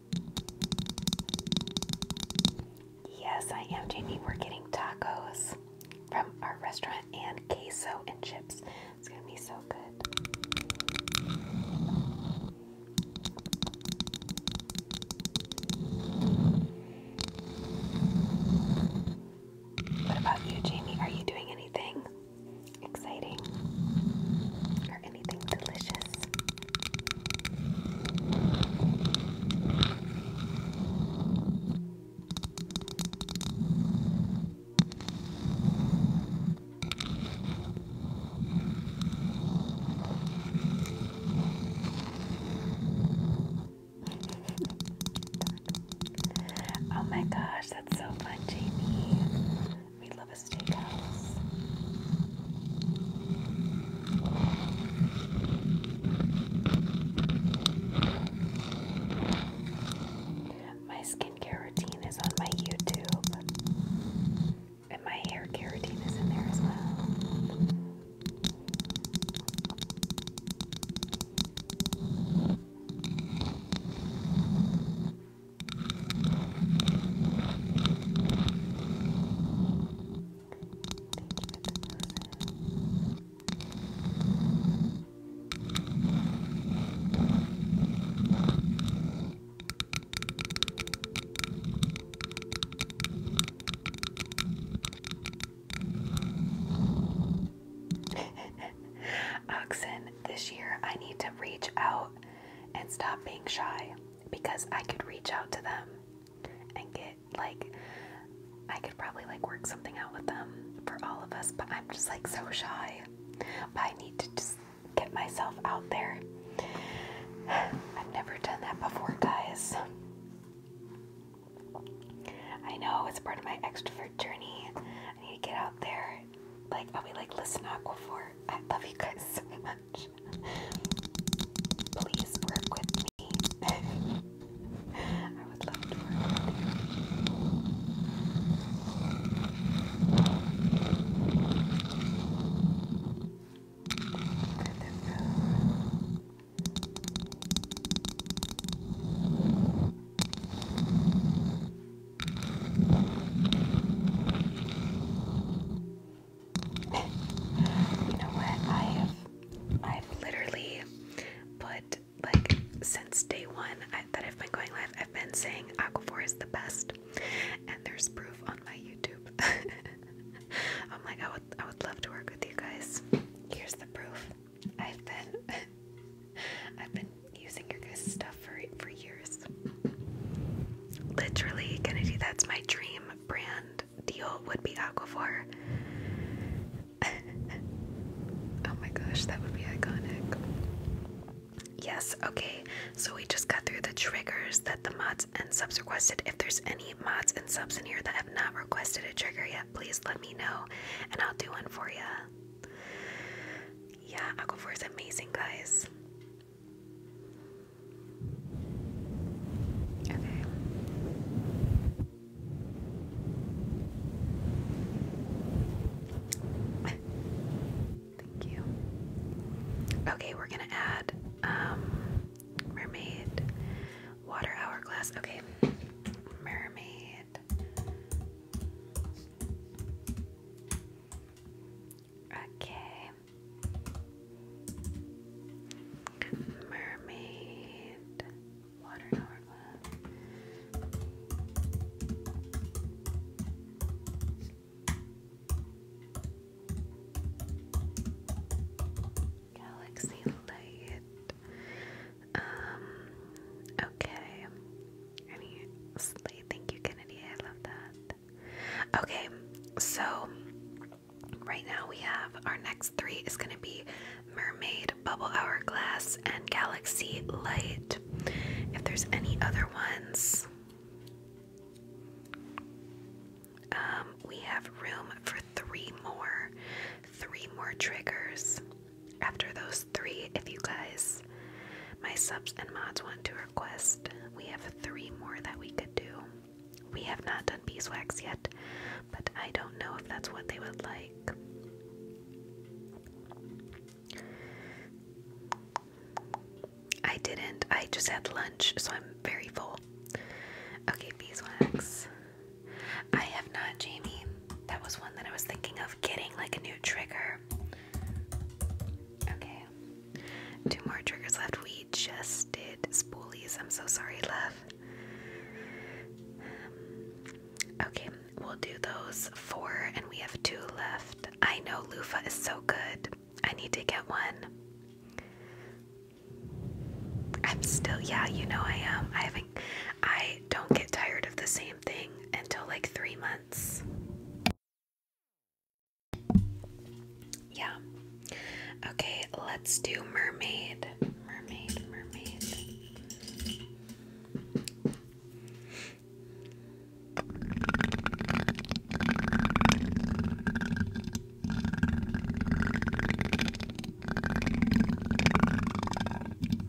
Yes, I am, Jamie. We're getting tacos from our restaurant and queso and chips. It's going to be so good. What about you, Jamie? Are you doing anything exciting oh my gosh, that's so fun, Jamie. We love a steakhouse. My skincare routine is on my YouTube, and my hair routine is in there as well. Oxen, this year I need to reach out and stop being shy because I could reach out to them and get like I could probably like work something out with them for all of us, but I'm just like so shy. But I need to just get myself out there. I've never done that before, guys. I know it's part of my extrovert journey. I need to get out there. Like I'll be like, listen, Aquaphor, I love you guys so much. Please work with me. I would love to work with you. You know what? I have I've literally put like since day one that I've been going live, I've been saying Aquaphor is the best, and there's proof on my YouTube. I'm like, I would, I would love to work with you guys. Here's the proof. I've been, I've been using your guys' stuff for for years. Literally, Kennedy, that's my dream brand deal would be Aquaphor. oh my gosh, that would be iconic. Yes, okay, so we just got through the triggers that the mods and subs requested. If there's any mods and subs in here that have not requested a trigger yet, please let me know and I'll do one for you. Yeah, Aquaphor is amazing, guys. Okay. Thank you. Okay, we're gonna add um, mermaid water hourglass. Okay. Mermaid Okay. Mermaid, water Galaxy light. Um, okay. Any thank you, Kennedy. I love that. Okay, so right now we have our next three is going to be Mermaid, Bubble Hourglass, and Galaxy Light. If there's any other ones, um, we have room for three more, three more triggers. After those three, if you guys, my subs and mods, want to request we have three more that we could do. We have not done beeswax yet, but I don't know if that's what they would like. I didn't. I just had lunch, so I'm very full. Okay, beeswax. I have not, Jamie. That was one that I was thinking of getting like a new trigger. Okay. Two more triggers left. We just did spoolies. I'm so sorry, love. Um, okay, we'll do those four, and we have two left. I know loofah is so good. I need to get one. I'm still, yeah, you know I am. I haven't, I don't get tired of the same thing until like three months. Yeah. Okay, let's do mermaid. Mermaid, mermaid.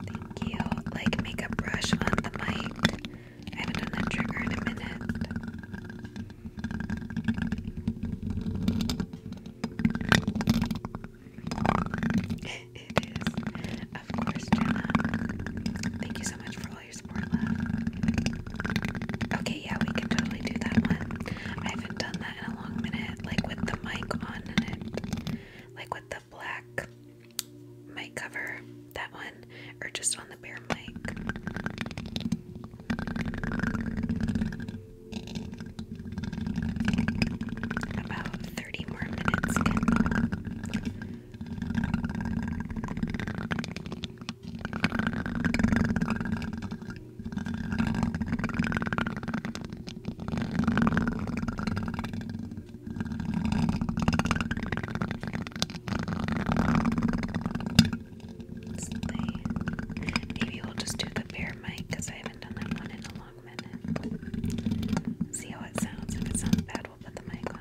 Thank you. Like, make brush on the mic. I haven't done that trigger in a minute. it is. Of course, Jenna. Thank you so much for all your support, Okay, yeah, we can totally do that one. I haven't done that in a long minute, like with the mic on Like with the black mic cover. That one or just on the bare mic. About 30 more minutes. Maybe we'll just do the bear mic because I haven't done that one in a long minute. See how it sounds. If it sounds bad, we'll put the mic on.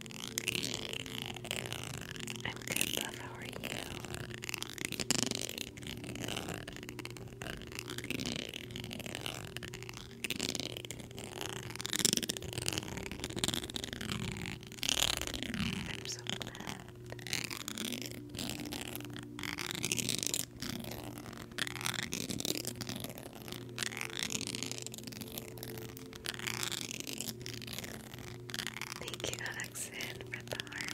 I'm good, love. How are you? I'm so glad. Thank you, Alexin, for the heart.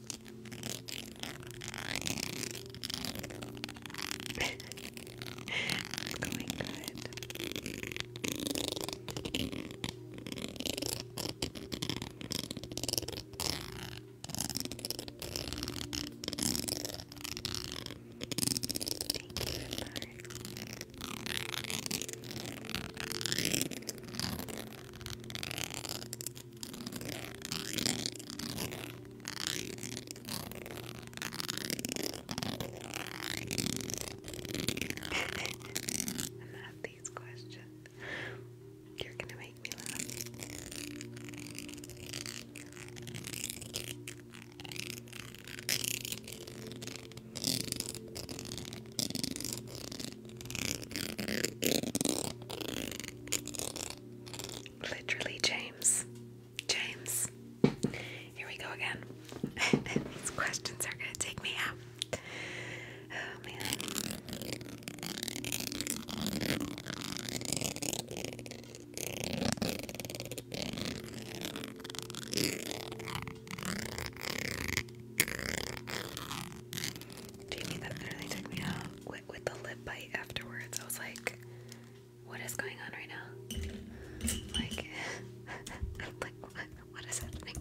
it's going good. Thank you, I love these questions. You're gonna make me laugh. Literally, James. James. Here we go again. These questions are gonna take me out. Oh man. Do that literally took me out with the lip bite afterwards? I was like, what is going on right now? Like, like, what is happening?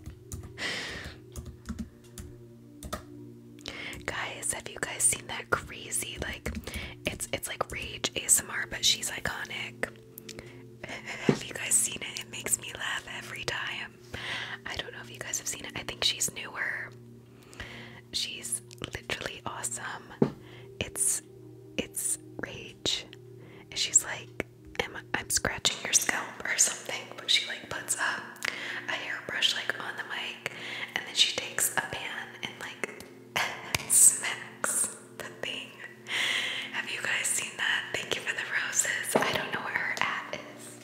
guys, have you guys seen that crazy? Like, it's it's like rage ASMR, but she's iconic. have you guys seen it? It makes me laugh every time. I don't know if you guys have seen it. I think she's newer. She's literally awesome. It's it's rage. And she's like, I'm, i scratching your scalp or something, but she like puts up a hairbrush like on the mic and then she takes a pan and like smacks the thing. Have you guys seen that? Thank you for the roses. I don't know where her at is.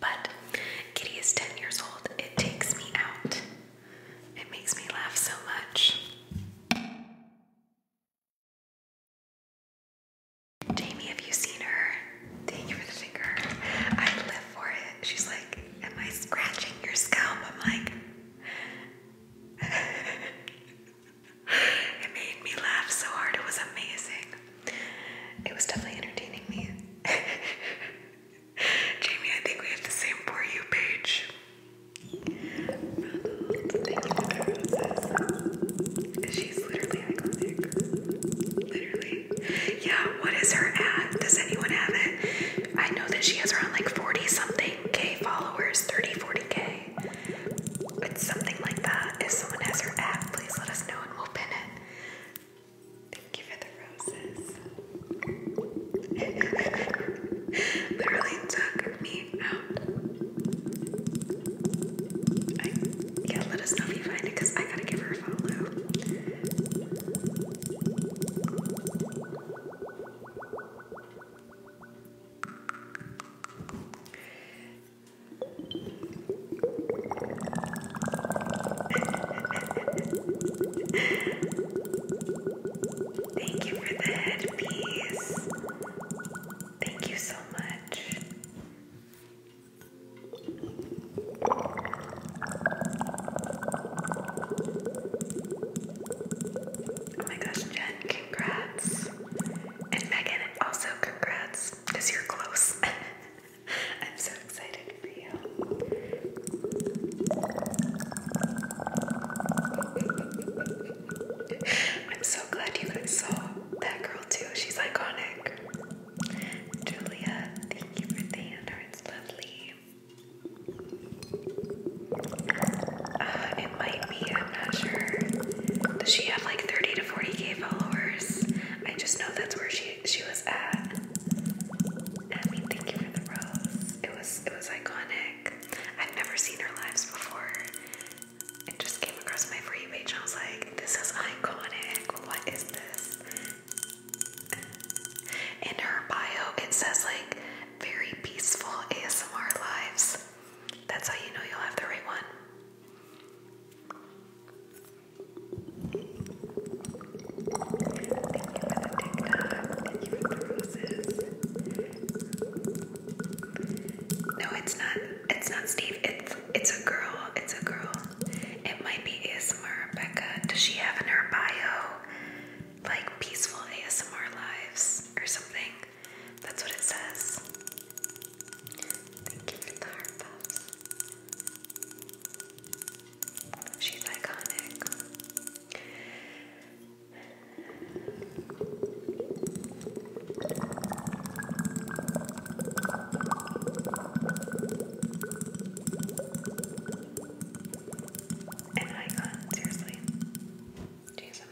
But Kitty is 10 years old. It takes me out. It makes me laugh so much. Jamie, have you seen her? Thank you for the finger. I live for it. She's like, Am I scratching your scalp? I'm like, It made me laugh so hard. It was amazing. It was definitely entertaining me. Jamie, I think we have the same you page. Yeah, what is her ad? Does anyone have it? I know that she has around like 40 something K followers, 30, 40K. It's something like that. If someone has her ad, please let us know and we'll pin it. Thank you for the roses. Literally took me out. I, yeah, let us know if you find it because I gotta give her a follow. Thank you for the headpiece. Thank you so much. Oh my gosh, Jen, congrats. And Megan, also congrats, because you're close. I'm so excited for you. I'm so glad you guys saw that girl too. She's iconic. Julia, thank you for the hearts, lovely. Uh, it might be, I'm not sure. Does she have like 30 to 40k followers? I just know that's where she she was I mean, thank you for the rose. It was it was iconic. I've never seen her lives before. It just came across my free page and I was like, this is iconic. What is this? In her bio, it says like very peaceful ASMR lives. That's how you know you'll have the right one. No, it's not. It's not Steve. It's it's a girl. It's a girl. It might be ASMR Rebecca. Does she have in her bio like peaceful ASMR lives or something? That's what it says. She's iconic. An icon, seriously. She's an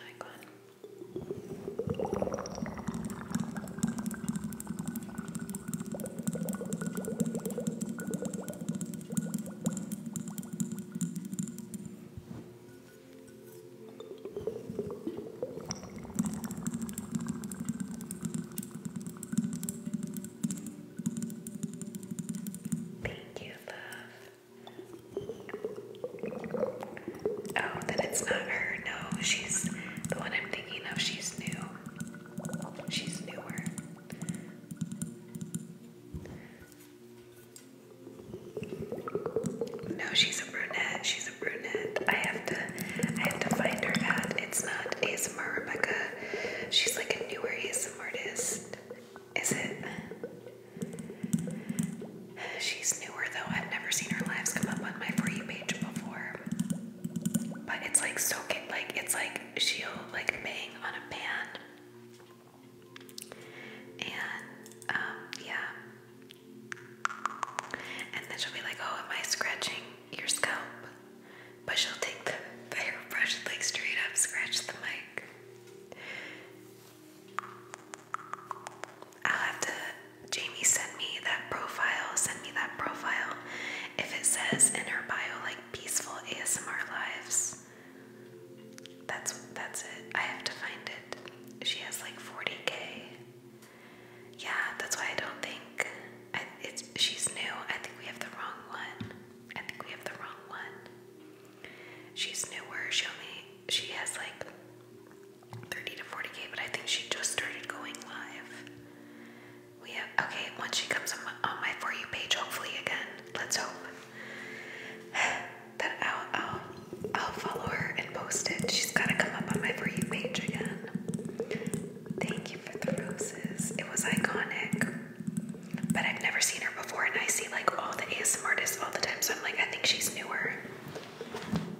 Thank you, love. Oh, then it's not her. No, she's the one I'm thinking of. She's new. She's newer. No, she's a brunette. She's a brunette. I have to I have to find her ad. It's not ASMR Rebecca. She's like a newer ASMR artist. Is it? She's newer though. I've never seen her lives come up on my For You page before. But it's like soaking, like it's like she'll like bang on a pan. And um, yeah. And then she'll be like, oh, am I scratching your scalp? But she'll take the, the hairbrush like straight up scratch the mic. I'll have to, Jamie, sent me that profile. Send me that profile. If it says in her bio, like, peaceful ASMR lives. That's that's it. I have to find it. She has like 40k. Yeah, that's why I don't think I, it's she's new. I think we have the wrong one. I think we have the wrong one. She's newer. She only she has like 30 to 40k, but I think she just started going live. We have okay. Once she comes on my, for you page, hopefully again. Let's hope that I'll I'll I'll follow her and post it. She's gotta come up on my for you page again. Thank you for the roses. It was iconic, but I've never seen her before, and I see like all the ASMR artists all the time. So I'm like, I think she's newer.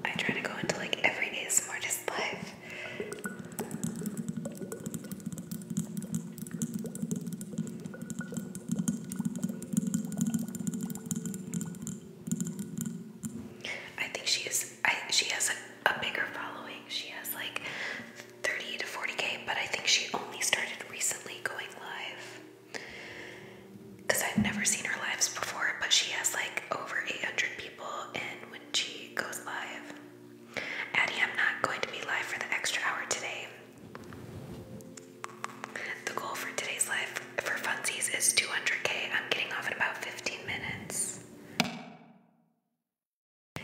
I try to go into like every ASMR artist live. I think she is. I, she has a bigger following. She has like thirty to forty k, but I think she only started recently going live. Cause I've never seen her lives before, but she has like over eight hundred people, and when she goes live, Addie, I'm not going to be live for the extra hour today. The goal for today's live for funsies is 200k. I'm getting off in about 15 minutes.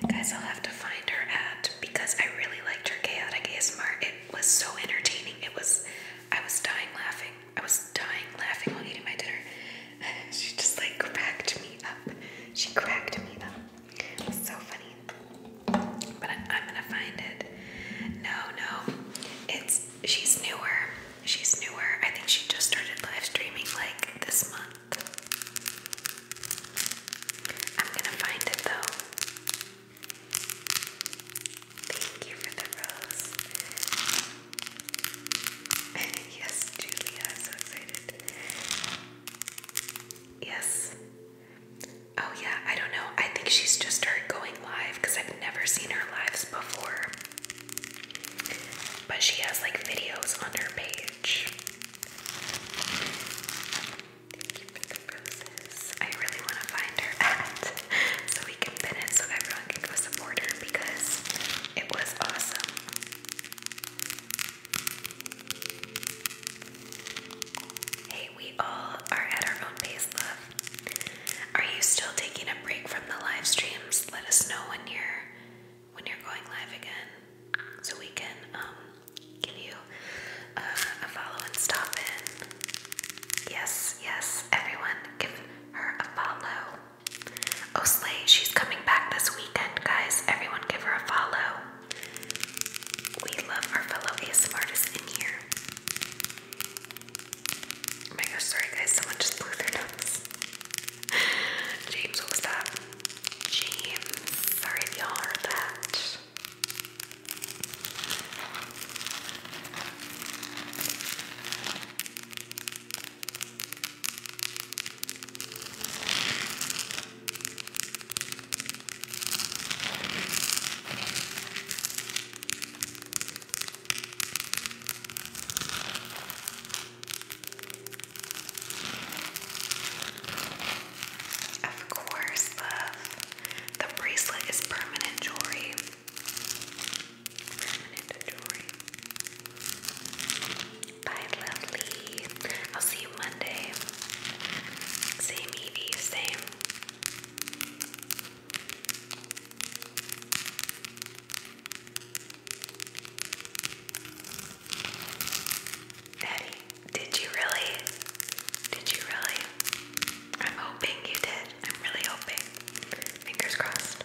Guys, I'll have to find her at because I really liked her chaotic ASMR. It was so entertaining. It was, I was dying laughing. I was dying laughing while eating my dinner. She just like cracked me up. She cracked me up. So funny. But I'm gonna find it. No, no. It's she's newer. She's newer. I think she just started live streaming like this month. I'm gonna find it though. Thank you for the rose. yes, Julia, so excited. Yes. Oh, yeah, I don't know. I think she's just started going live because I've never seen her lives before. But she has like videos on her page. Thank you for the roses. I really want to find her at so we can pin it so everyone can go support her because it was awesome. Hey, we all are at our own pace, love. Are you still taking a break from the live streams? Let us know when you're when you're going live again, so we can um, give you uh, a, follow and stop in. Yes, yes, everyone, give her a follow. Oh, Slay, she's coming back this weekend, guys. Everyone, give her a follow. We love our fellow ASMRtists in here. Oh my gosh, sorry guys, someone just blew their nose. James, what was that? James, sorry if y'all heard that. Of course, love. The bracelet is permanent jewelry. Permanent jewelry. Bye, lovely. I'll see you Monday. Same Evie, same. Daddy, did you really? Did you really? I'm hoping you did. I'm really hoping. Fingers crossed.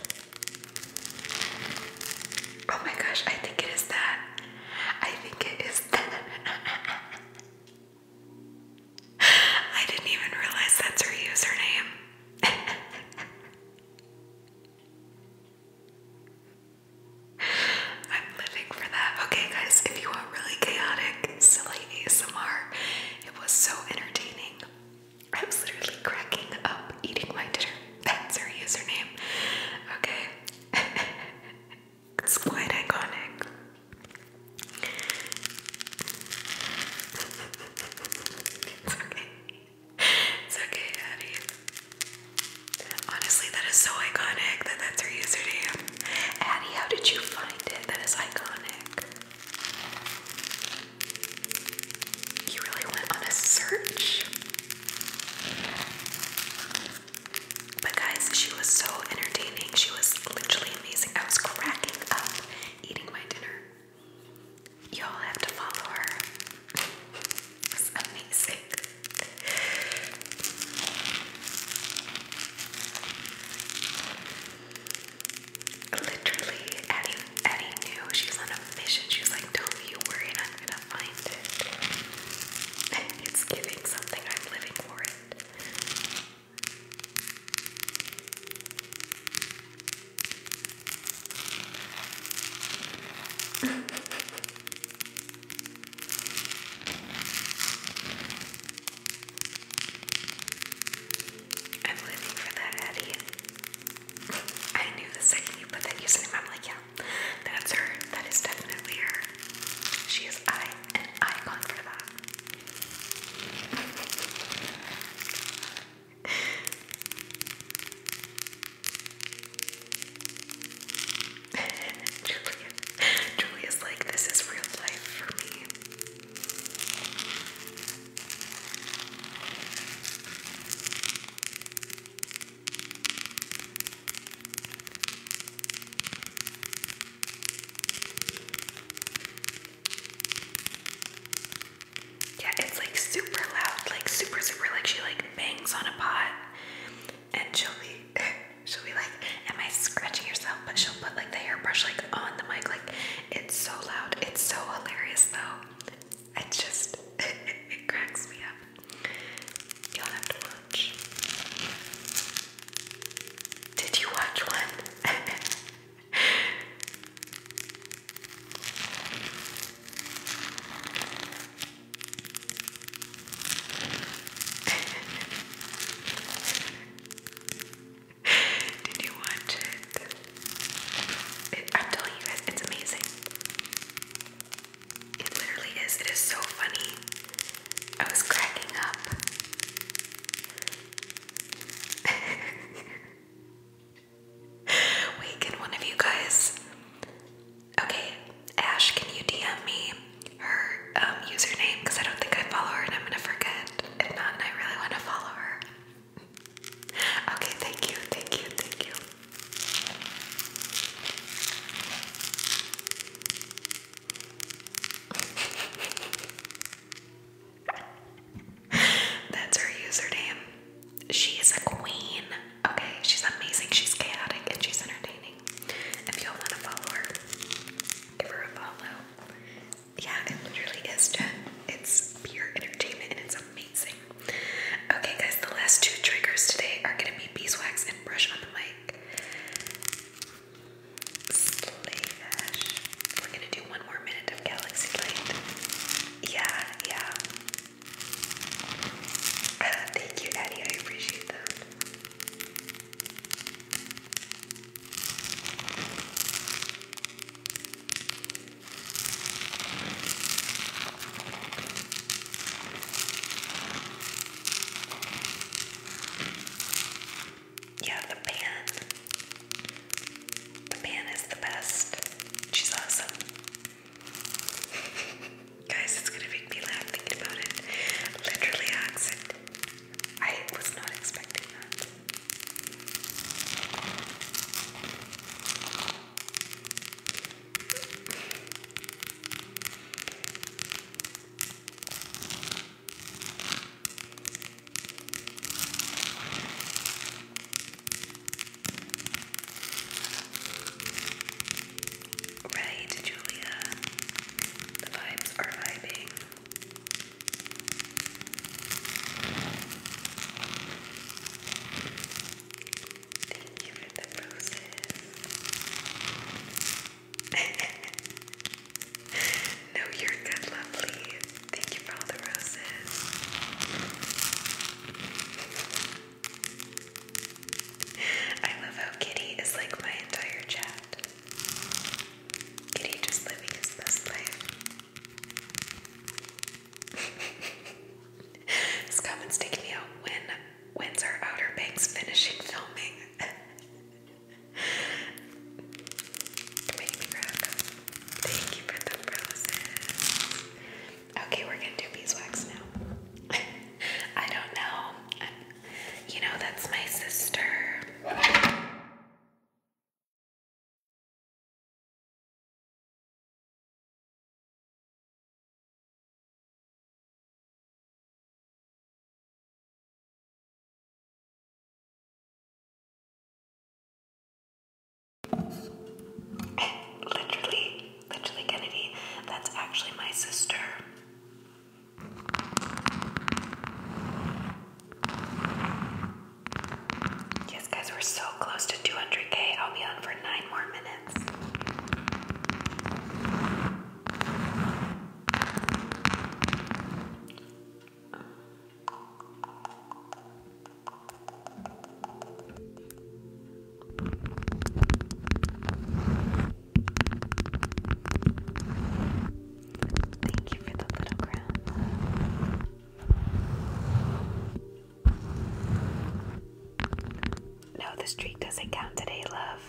Oh my gosh, I think it is that. I think it is that. I didn't even realize that's her username. I'm living for that. Okay, guys, if you want really chaotic, silly ASMR, it was so entertaining. I was literally cracking up eating my dinner. That's her username. Okay. It's quite iconic. it's okay. It's okay, Daddy. Honestly, that is so iconic that that's her username. Addie, how did you find it? That is iconic. You really went on a search. But guys, she was so entertaining. She was literally amazing. I was cracking up eating my dinner. Y'all have to follow her. amazing. Literally, Eddie, Eddie knew she was on a mission. She was like, Don't you worry, I'm gonna it's giving something I'm living for it. I'm living for that, Eddie. I knew the second you put that username, I'm like, yeah, that's her. That is definitely her. She is I an icon for that. Julia. Julia's like, this is real life for me. Yeah, it's like super loud, like super super like she like bangs on a pot and she'll be she'll be like, Am I scratching yourself? But she'll put like the hairbrush like on the mic, like it's so loud, it's so hilarious though. It just it cracks me up. You'll have to watch. Did you watch one? Did you watch it? I'm you guys, it's amazing. It literally is. It is so funny. I was cracking up. Wait, can one of you guys? Okay, Ash, can you DM me her um, username? Because I don't think I follow her and I'm gonna forget. and I really want to follow her. okay, thank you, thank you, thank you. That's her username. She is a queen. Okay, she's amazing. She's chaotic and she's entertaining. If y'all want to follow her, give her a follow. Yeah, it literally is, Jen. It's pure entertainment and it's amazing. Okay, guys, the last two triggers today are going to be beeswax and brush on the mic. Slavish. We're gonna do one more minute of Galaxy Light. Yeah, yeah. thank you, Eddie. I appreciate that. Yeah, the pan. The pan is the best. She's awesome. Guys, it's gonna make me laugh thinking about it. Literally accident. I was not expecting that. Right, Julia. The vibes are vibing. Thank you for no, you're good, lovely. Thank you for all the roses. I love how Kitty is like my entire chat. Kitty just living his best life. His comments take me out when When's our Outer Banks finishing filming? Thank you for the roses. Okay, we're gonna do beeswax now. I don't know. you know, that's my sister. Literally, literally Kennedy. That's actually my sister. Yes, guys, we're so close to 200k. I'll be on for nine more minutes. Thank you for the little crown. No, the streak doesn't count today, love.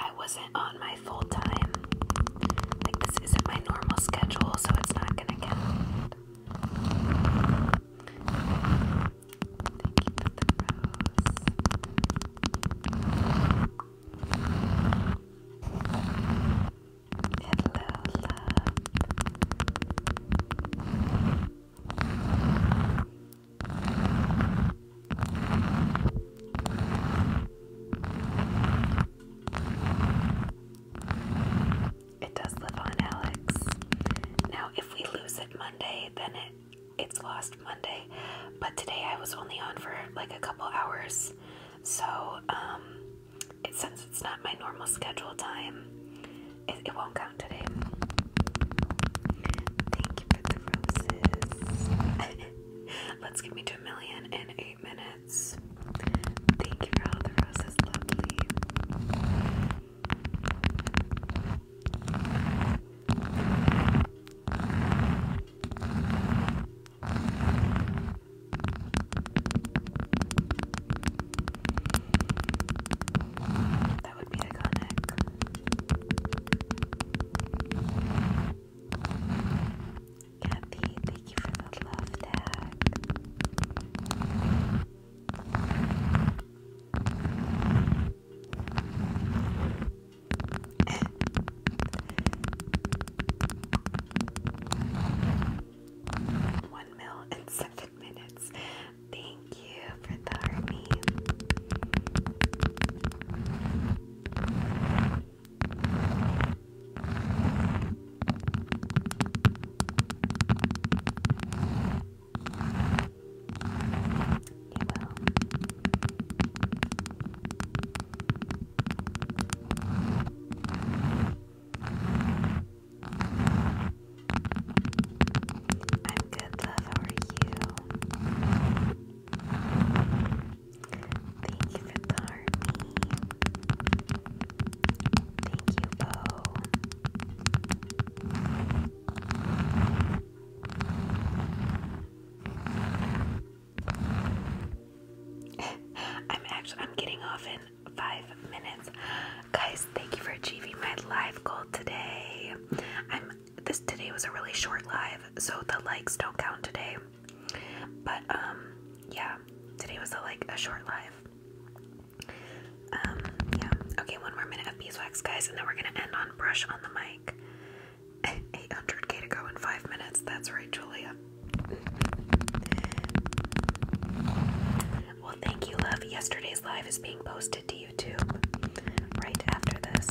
I wasn't on my full time. Like, this isn't my normal schedule, so it's not gonna count. It does live on Alex. Now, if we lose it Monday, then it it's lost Monday. But today I was only on for like a couple hours, so um, it, since it's not my normal schedule time, it, it won't count today. Thank you for the roses. Let's get me to a million in eight minutes. Thank you for all the roses, lovely. That would be iconic. Kathy, thank you for the love tag. One mil and seven minutes. Thank you for the army. You I'm good, love. How are you? Thank you for the army. Thank you, Bo. I'm actually I'm getting off in five minutes. Guys, thank you for achieving my live goal today. I'm this today was a really short live, so the likes don't count today. But um yeah, today was a like a short live. Um yeah. Okay, one more minute of beeswax guys, and then we're gonna end on brush on the mic. 800k to go in five minutes. That's right, Julia. Well, thank you, love. Yesterday's live is being posted to YouTube right after this.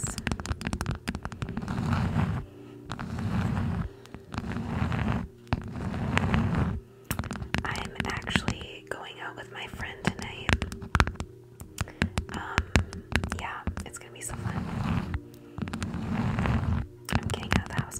I'm actually going out with my friend tonight. Um, yeah, it's gonna be so fun. I'm getting out of the house,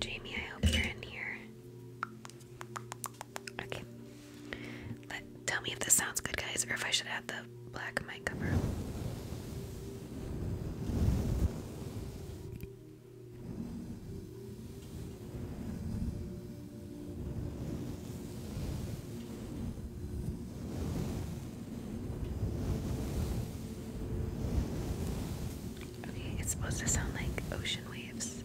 Jamie, I hope you're in here. Okay. Let, tell me if this sounds good, guys, or if I should add the black mic cover. Okay, it's supposed to sound like ocean waves.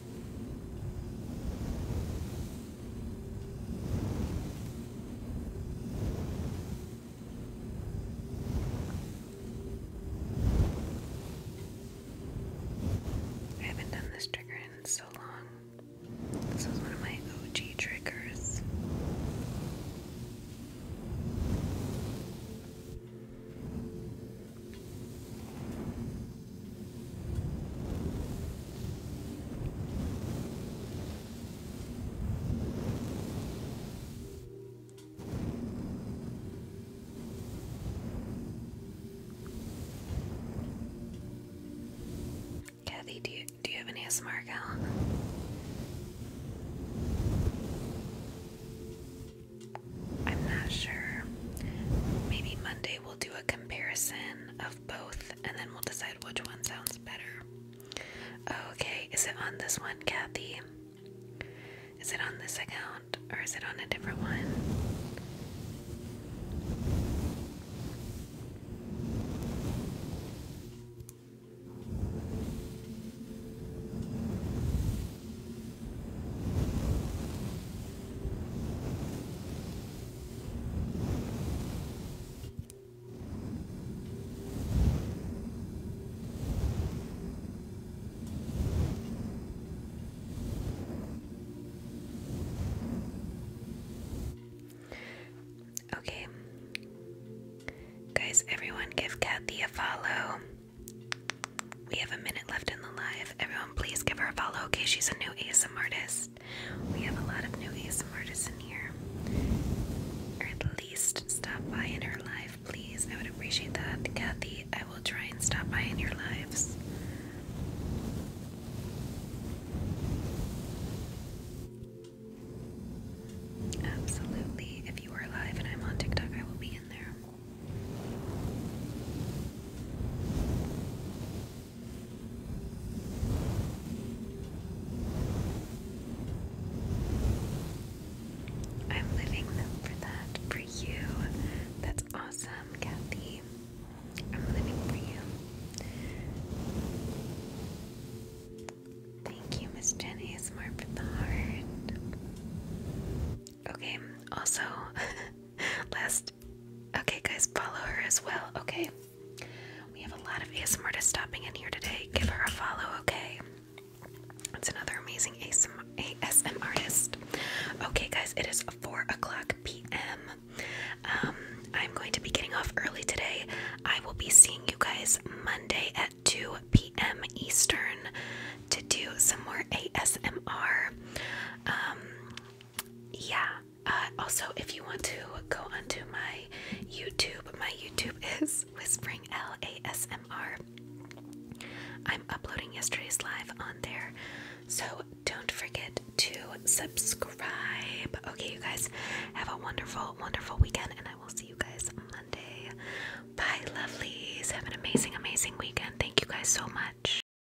I haven't done this trigger in so long. This was one of my OG triggers. Kathy, do you do you have any ASMR account? I'm not sure. Maybe Monday we'll do a comparison of both and then we'll decide which one sounds better. Okay, is it on this one, Kathy? Is it on this account or is it on a different one? Okay. Guys, everyone give Kathy a follow. We have a minute left Everyone, please give her a follow. Okay, she's a new ASM artist. We have a lot of new ASM artists in here. Or at least stop by in her life, please. I would appreciate that. Kathy, I will try and stop by in your lives. Absolutely. If you are live and I'm on TikTok, I will be in there. I'm living for that, for you. That's awesome, Kathy. I'm living for you. Thank you, Miss Jen ASMR for the heart. Okay, also, last Okay, guys, follow her as well, okay? We have a lot of ASMR to stopping in here today. Give her a follow, okay? that's another amazing ASMR, artist. Okay, guys, it is 4 o'clock p.m. Um, I'm going to be getting off early today. I will be seeing you guys Monday at 2 p.m. Eastern to do some more ASMR. Um, yeah uh, also if you want to go onto my youtube my youtube is whispering l-a-s-m-r i'm uploading yesterday's live on there so don't forget to subscribe okay you guys have a wonderful wonderful weekend and i will see you guys monday bye lovelies have an amazing amazing weekend thank you guys so much